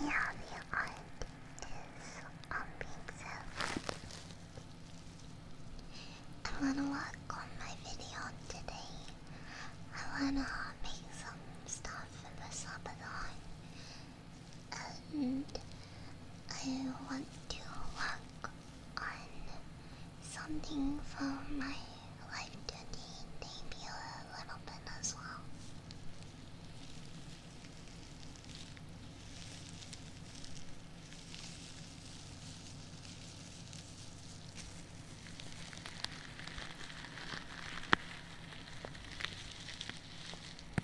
Yeah, the art is on being so I wanna work on my video today. I wanna make some stuff for the Sabaton and I want to work on something for my life journey, maybe a little bit as well.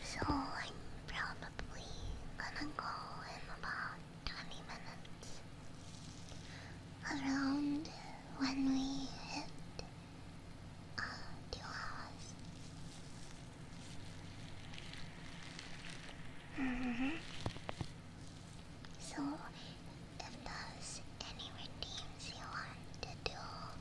So I'm probably gonna go in about 20 minutes. Around when we hit uh, two -hmm. So, if there's any redeems you want to do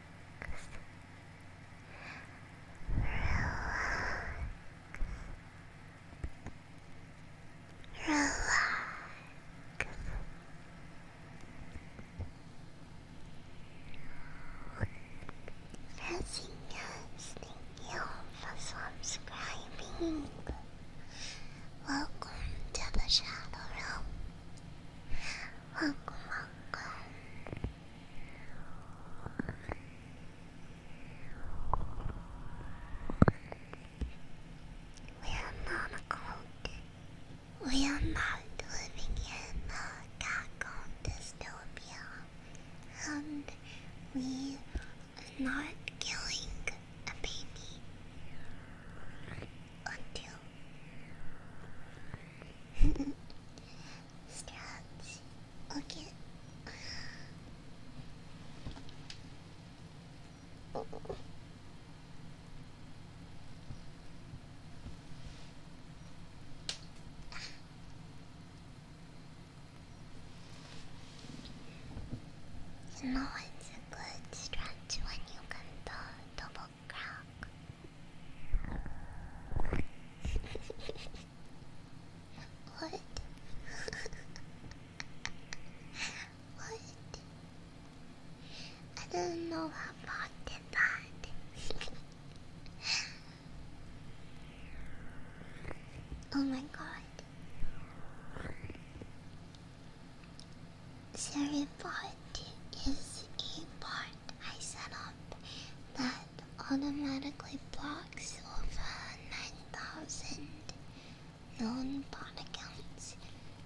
Relax. Relax. thank you for subscribing. Welcome to the Shadow room. Welcome, welcome. We are not cold. We are not living in a goddamn dystopia. And we are not killing a baby. Until. Scratch. Okay. Oh. You know it's a good stretch when you can do double crack what? what? I don't know about that. oh my god. Cerebot is a part I set up that automatically blocks over 9,000 known bot accounts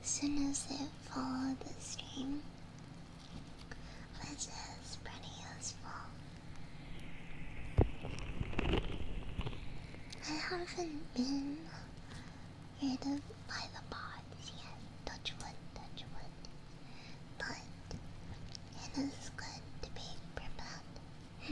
soon as they follow the stream, which is pretty useful. I haven't been rid of by the bots yet. Touch wood, touch wood but it is good to be prepared. But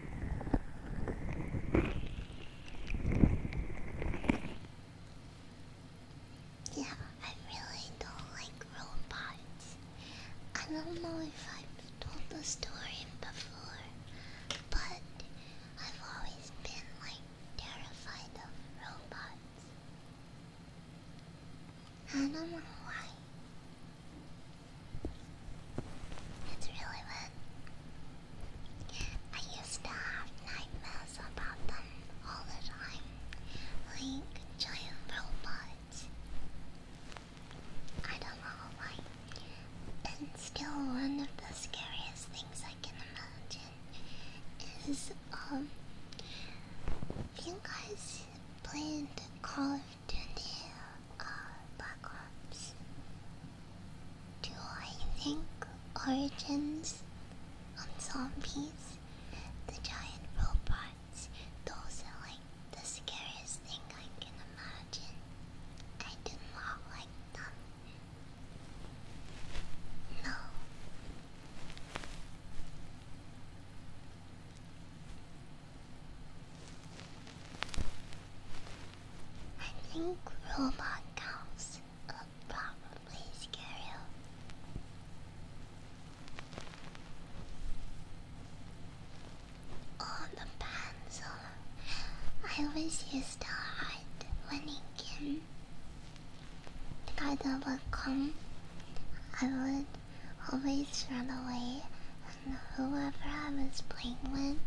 Yeah, I really don't like robots. I don't know if I've told the story before, but I've always been like terrified of robots. I don't know why. It's really bad. I used to have nightmares about them all the time. Like giant robots. I don't know why. And still one of the scariest things I can imagine is um you guys played Call do the uh, Black Ops 2, I think, Origins on zombies, the giant robots, those are like the scariest thing I can imagine. I do not like them. No. I think robot cows will probably scare you. the pencil. I always used to hide when it came. The garden would come. I would always run away whoever I was playing with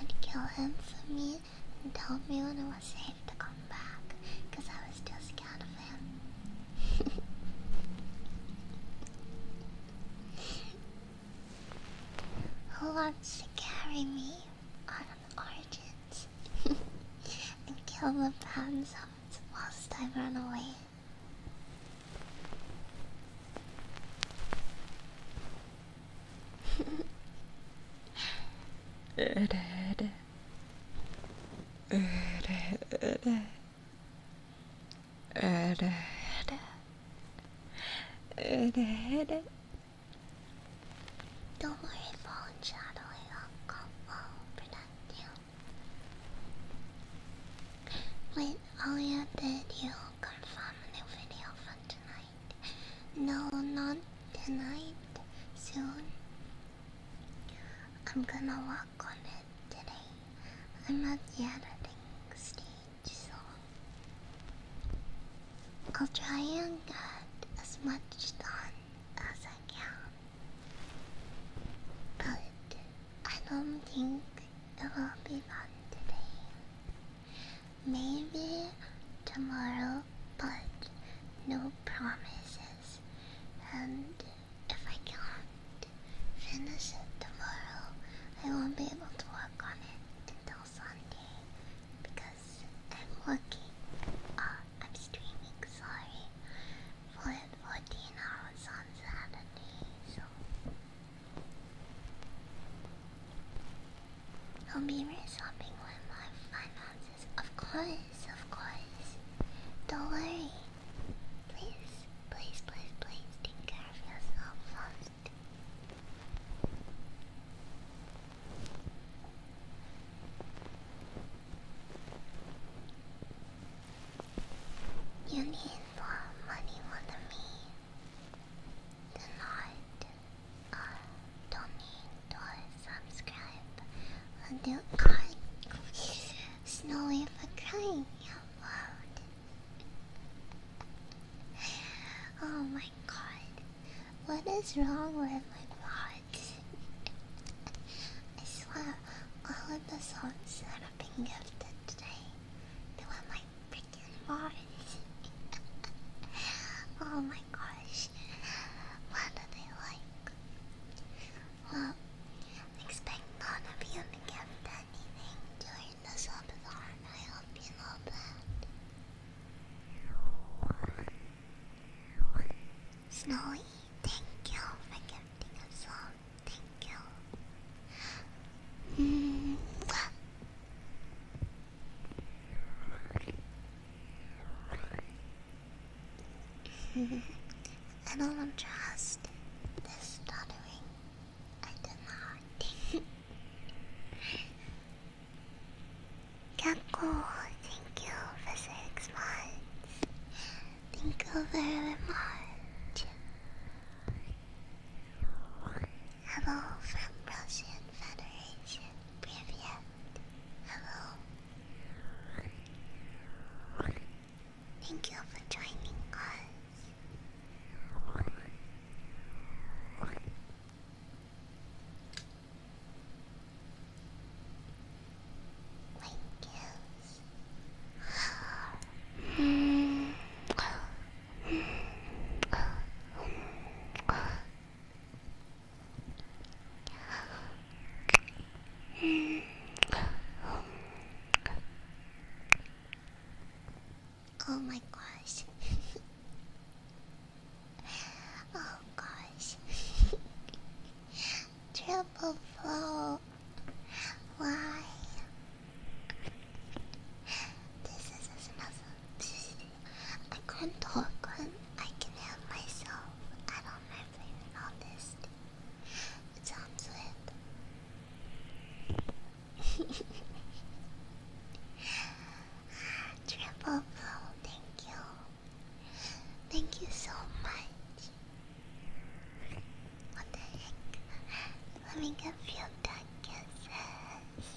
would kill him for me and tell me when it was safe to come back because I was too scared of him. Who wants to carry me on an origin and kill the Panzons whilst I run away? Don't worry, fallen shadow, I'll come I'll protect you. Wait, all you did, you confirm a new video from tonight. No, not tonight. Soon. I'm gonna work on it today. I'm not yet editing stage, so I'll try and get as much done as I can. But I don't think it will be done today. Maybe tomorrow, but no promises. And if I can't finish it tomorrow, I won't be able to work on it until Sunday because I'm working. Uh, I'm streaming, sorry, for 14 hours on Saturday. So I'll be resolving with my finances. Of course, of course. Don't worry. Please, please, please, please take care of yourself first. You need more money than me. Tonight don't need to subscribe until crying. Snowy for crying out loud. Oh my god. What is wrong with my vlog? I swear, all of the songs that have been gifted today they want my freaking bars. oh my gosh. What do they like? Well, expect none of you to get anything during the subathon. I hope you know that. Snowy, thank you for gifting us all. Thank you. -hmm. I don't stuttering. I do not. 結構 thank you for six months. Thank you very much. Hello from Russian Federation Privyet. Hello. Thank you for joining us. Thank you. Hmm. Oh my gosh. oh gosh. Triple four. Why? This is another. I couldn't talk I can help myself. I don't mind blaming all this. It sounds weird. Triple flow, thank you. Thank you so much. Let me get few duck kisses.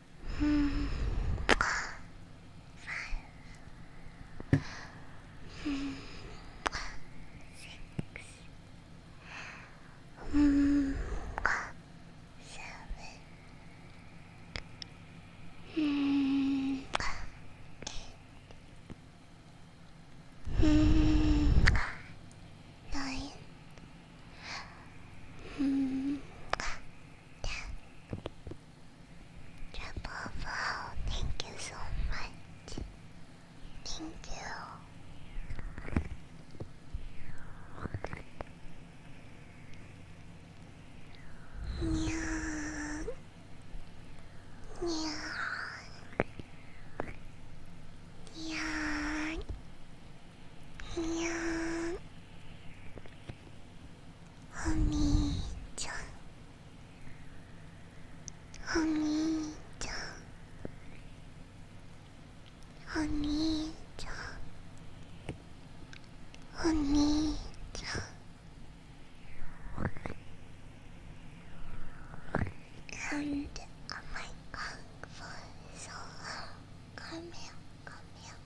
Hmm. Five. Hmm. Six. Hmm. Seven. Hmm. Eight. Hmm. Nine. Hmm. Wow, thank you so much. Thank you. Yeah. Yeah. Yeah. Yeah. お兄ちゃんお兄ちゃんお兄ちゃんお兄ちゃん and oh my god for so come here come here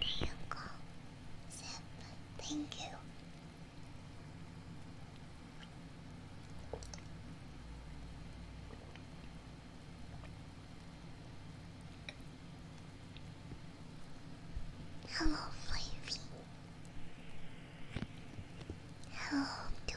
There you go. thank you. Hello, Flavy. Hello, to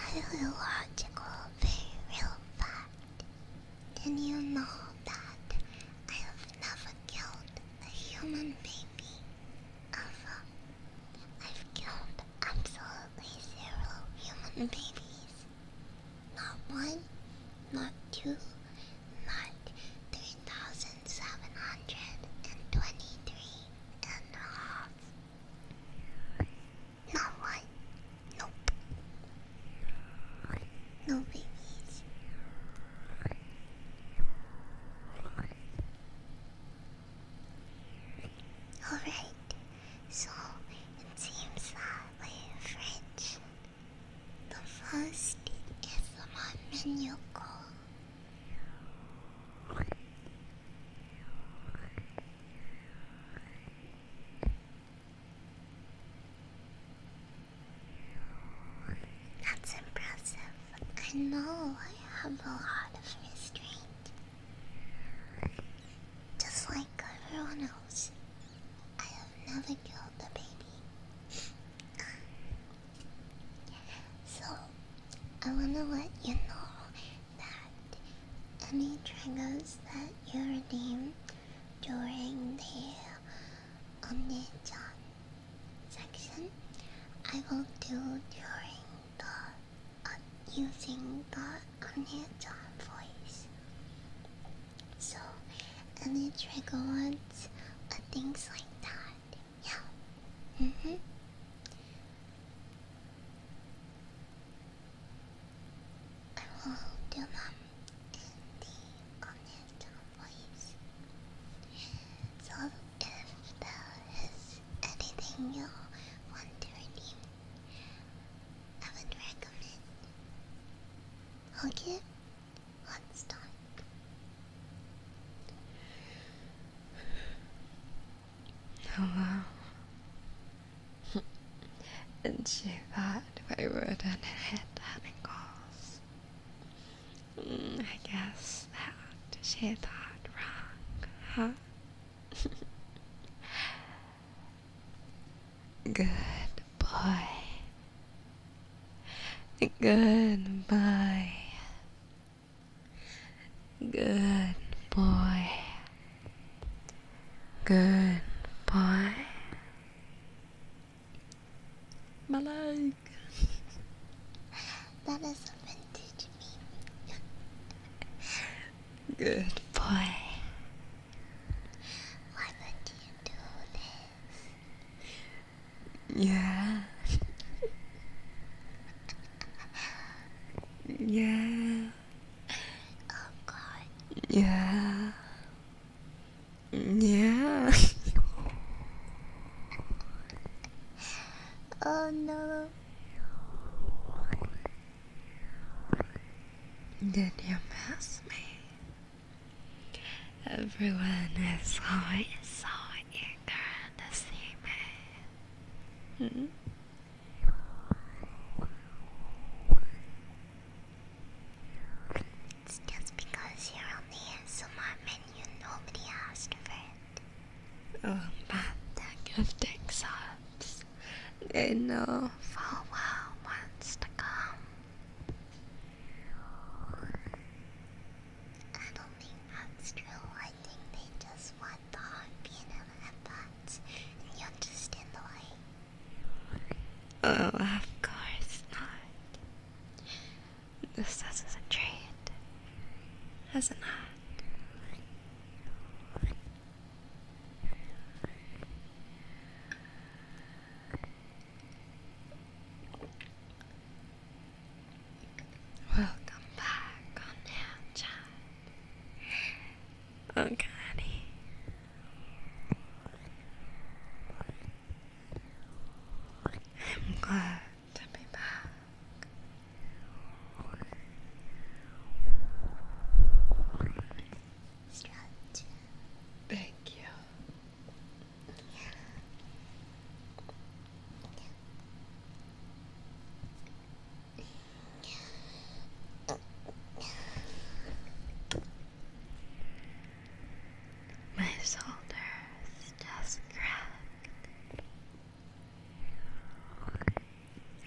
I'm a real fact. Did you know that I have never killed a human baby? I've killed absolutely zero human babies. Not one, not two, not three thousand seven hundred and twenty-three and a half. Not one. Nope. No babies. Alright, so it seems that we've reached the first is SMR menu goal. That's impressive. I know I have a lot of restraint. Just like everyone else, I have never killed a baby. so, I wanna let you know that any triggers that you redeem during the on the section I will do during the uh, using the Amazon voice. So, any trigger words, uh, things like that. Yeah. Mm hmm. I will do them in the Amazon voice. So if there is anything you want to redeem, I would recommend I'll give one star. Oh and she thought we wouldn't hit any goals. Mm, I guess that she thought wrong, huh? Good boy. Good boy. Good boy. Good boy. My that is something teach me. Good boy. Why would you do this? Yeah. yeah. Oh, yeah. Yeah. Oh no. Did you miss me? Everyone is always so eager to see me. Hmm? It's just because you're on the ASMR menu, nobody asked for um, banding of exams in uh, for well months to come. I don't think that's true. I think they just want the heartbeat and headphones, and you understand the way. Oh, of course not. This hasn't drained, has it not? Welcome back on Hand Chat. Oh, Connie to back. Thank you. My shoulders just cracked.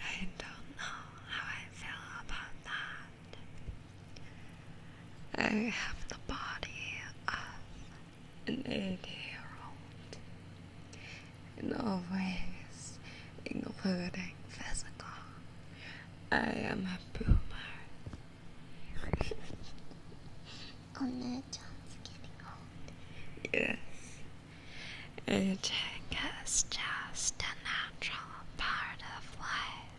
I don't know how I feel about that. I have the body of an 80 year old, in all ways, including physical. I am a boomer. Oh no, getting old. Yes. Aging is just a natural part of life.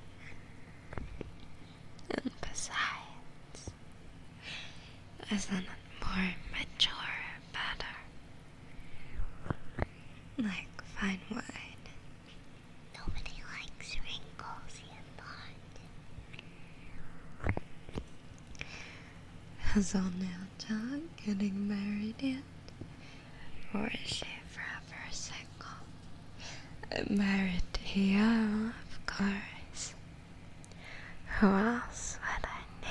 And besides, isn't it more mature better? Like fine wine. Nobody likes wrinkles, you thought. Has Oneonta getting married yet? Or is she forever single? Married to of course. Who else would I need?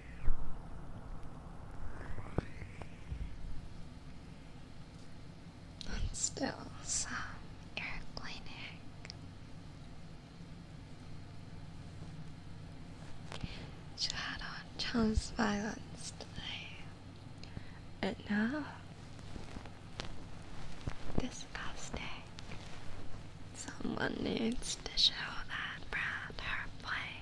And still some airplane egg. Shadow chose violence today. And now, this someone needs to show that Brad her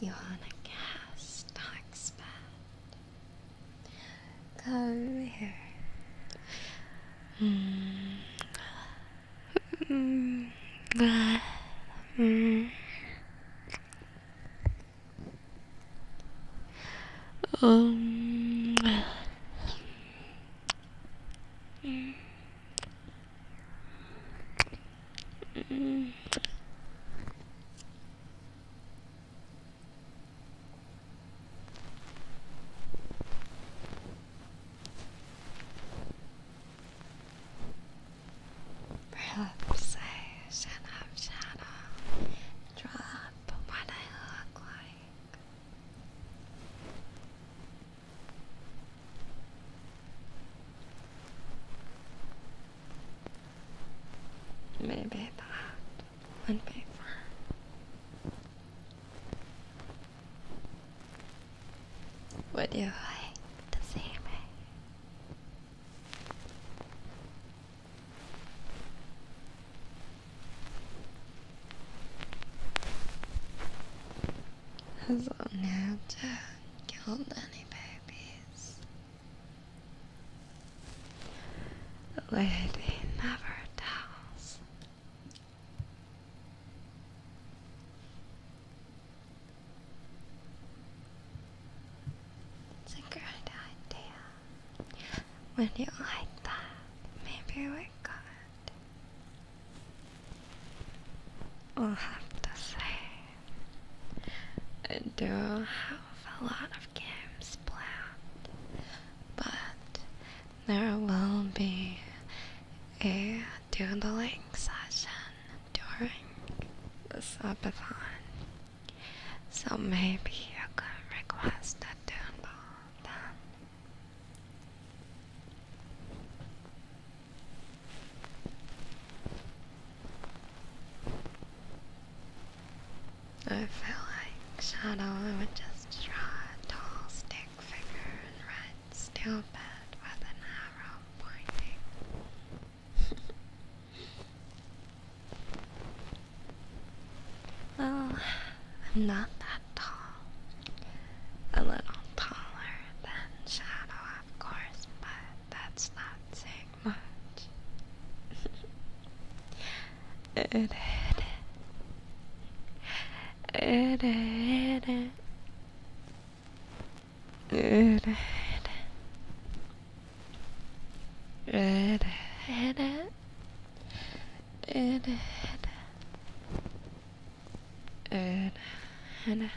Johanna Cass talks bad. Come here. Mm. Mm. Mm. Um. Mm. Mm. Perhaps I should have shadow drop what I look like. Maybe that would be fun. Would you like to see me? Has Amanda killed any? The lady never tells. It's a great idea. When you like that, maybe we're I'll have to say, I do not have a lot of games planned, but there will be a the doodling session during the subathon, so maybe you can request a doodle then. I feel like Shadow I would just draw a tall stick figure and red steel bed with an arrow pointing. well, I'm not that tall. A little taller than Shadow, of course, but that's not saying much and Hannah.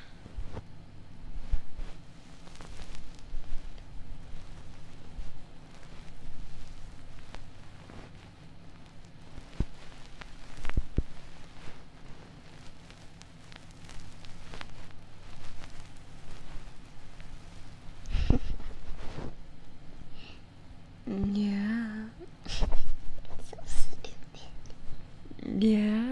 yeah. so stupid. Yeah.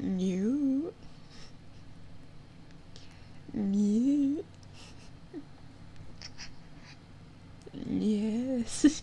New. New. Yes.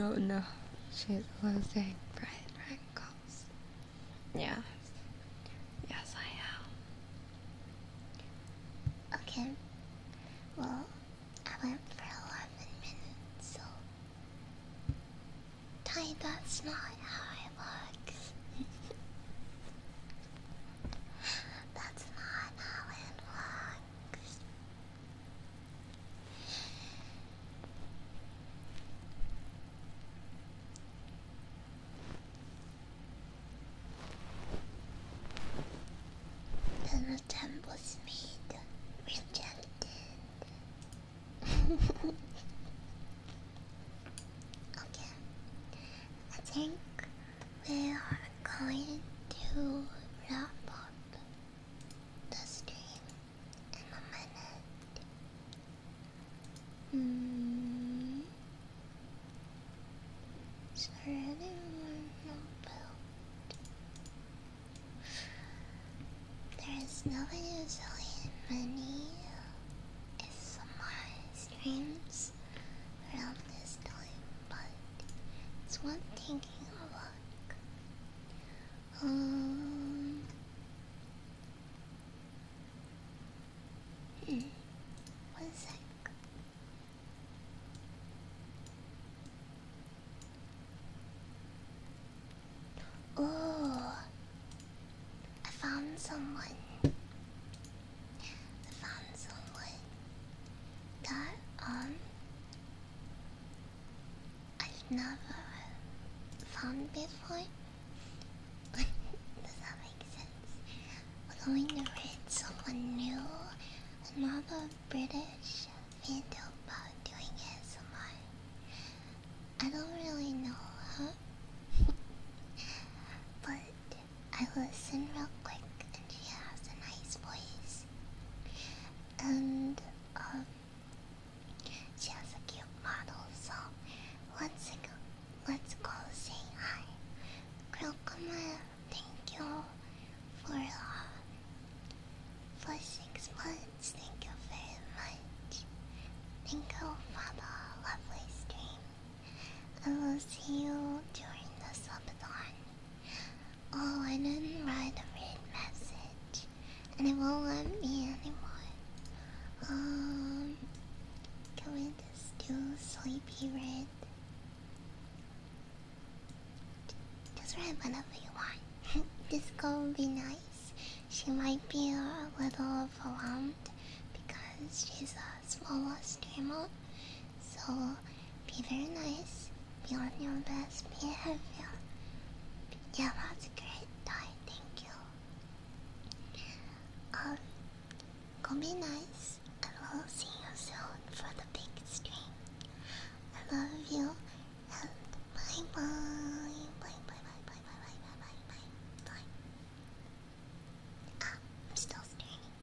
Oh no, she's only. No, no, she's losing Brian Rankles. Yeah. Yes, I am. Okay. Well, I went for 11 minutes, so. Ty, that's not how it works. that's not how it works. Then The attempt was made, rejected. okay, I think we are going to wrap up the stream in a minute. Mm. Is there anyone about? There is nobody usually in many ASMR streams around this time, but it's worth taking a look. Um, one sec. Oh, I found someone. I found someone that um I've never found before. Does that make sense? Following the red, someone new, another British video about doing ASMR. I don't really know her, but I listen real quick, and she has a nice voice. And, um, she has a cute model, so let's go, let's go say hi. Krokoma, thank you for, uh, for six months, thank you very much. Thank you for the lovely stream. I will see you during the subathon. Oh, I didn't write a red message. And it won't let me anymore. Um, can we sleepy red? Just write whatever you want. this girl be nice. She might be a little overwhelmed because she's a smaller streamer so be very nice. Be on your best behavior. Yeah, that's great, Ty. Thank you. Um, go be nice, and will see you soon for the big stream. I love you, and bye bye, bye bye, bye bye, bye bye, bye bye, bye Ah, I'm still streaming.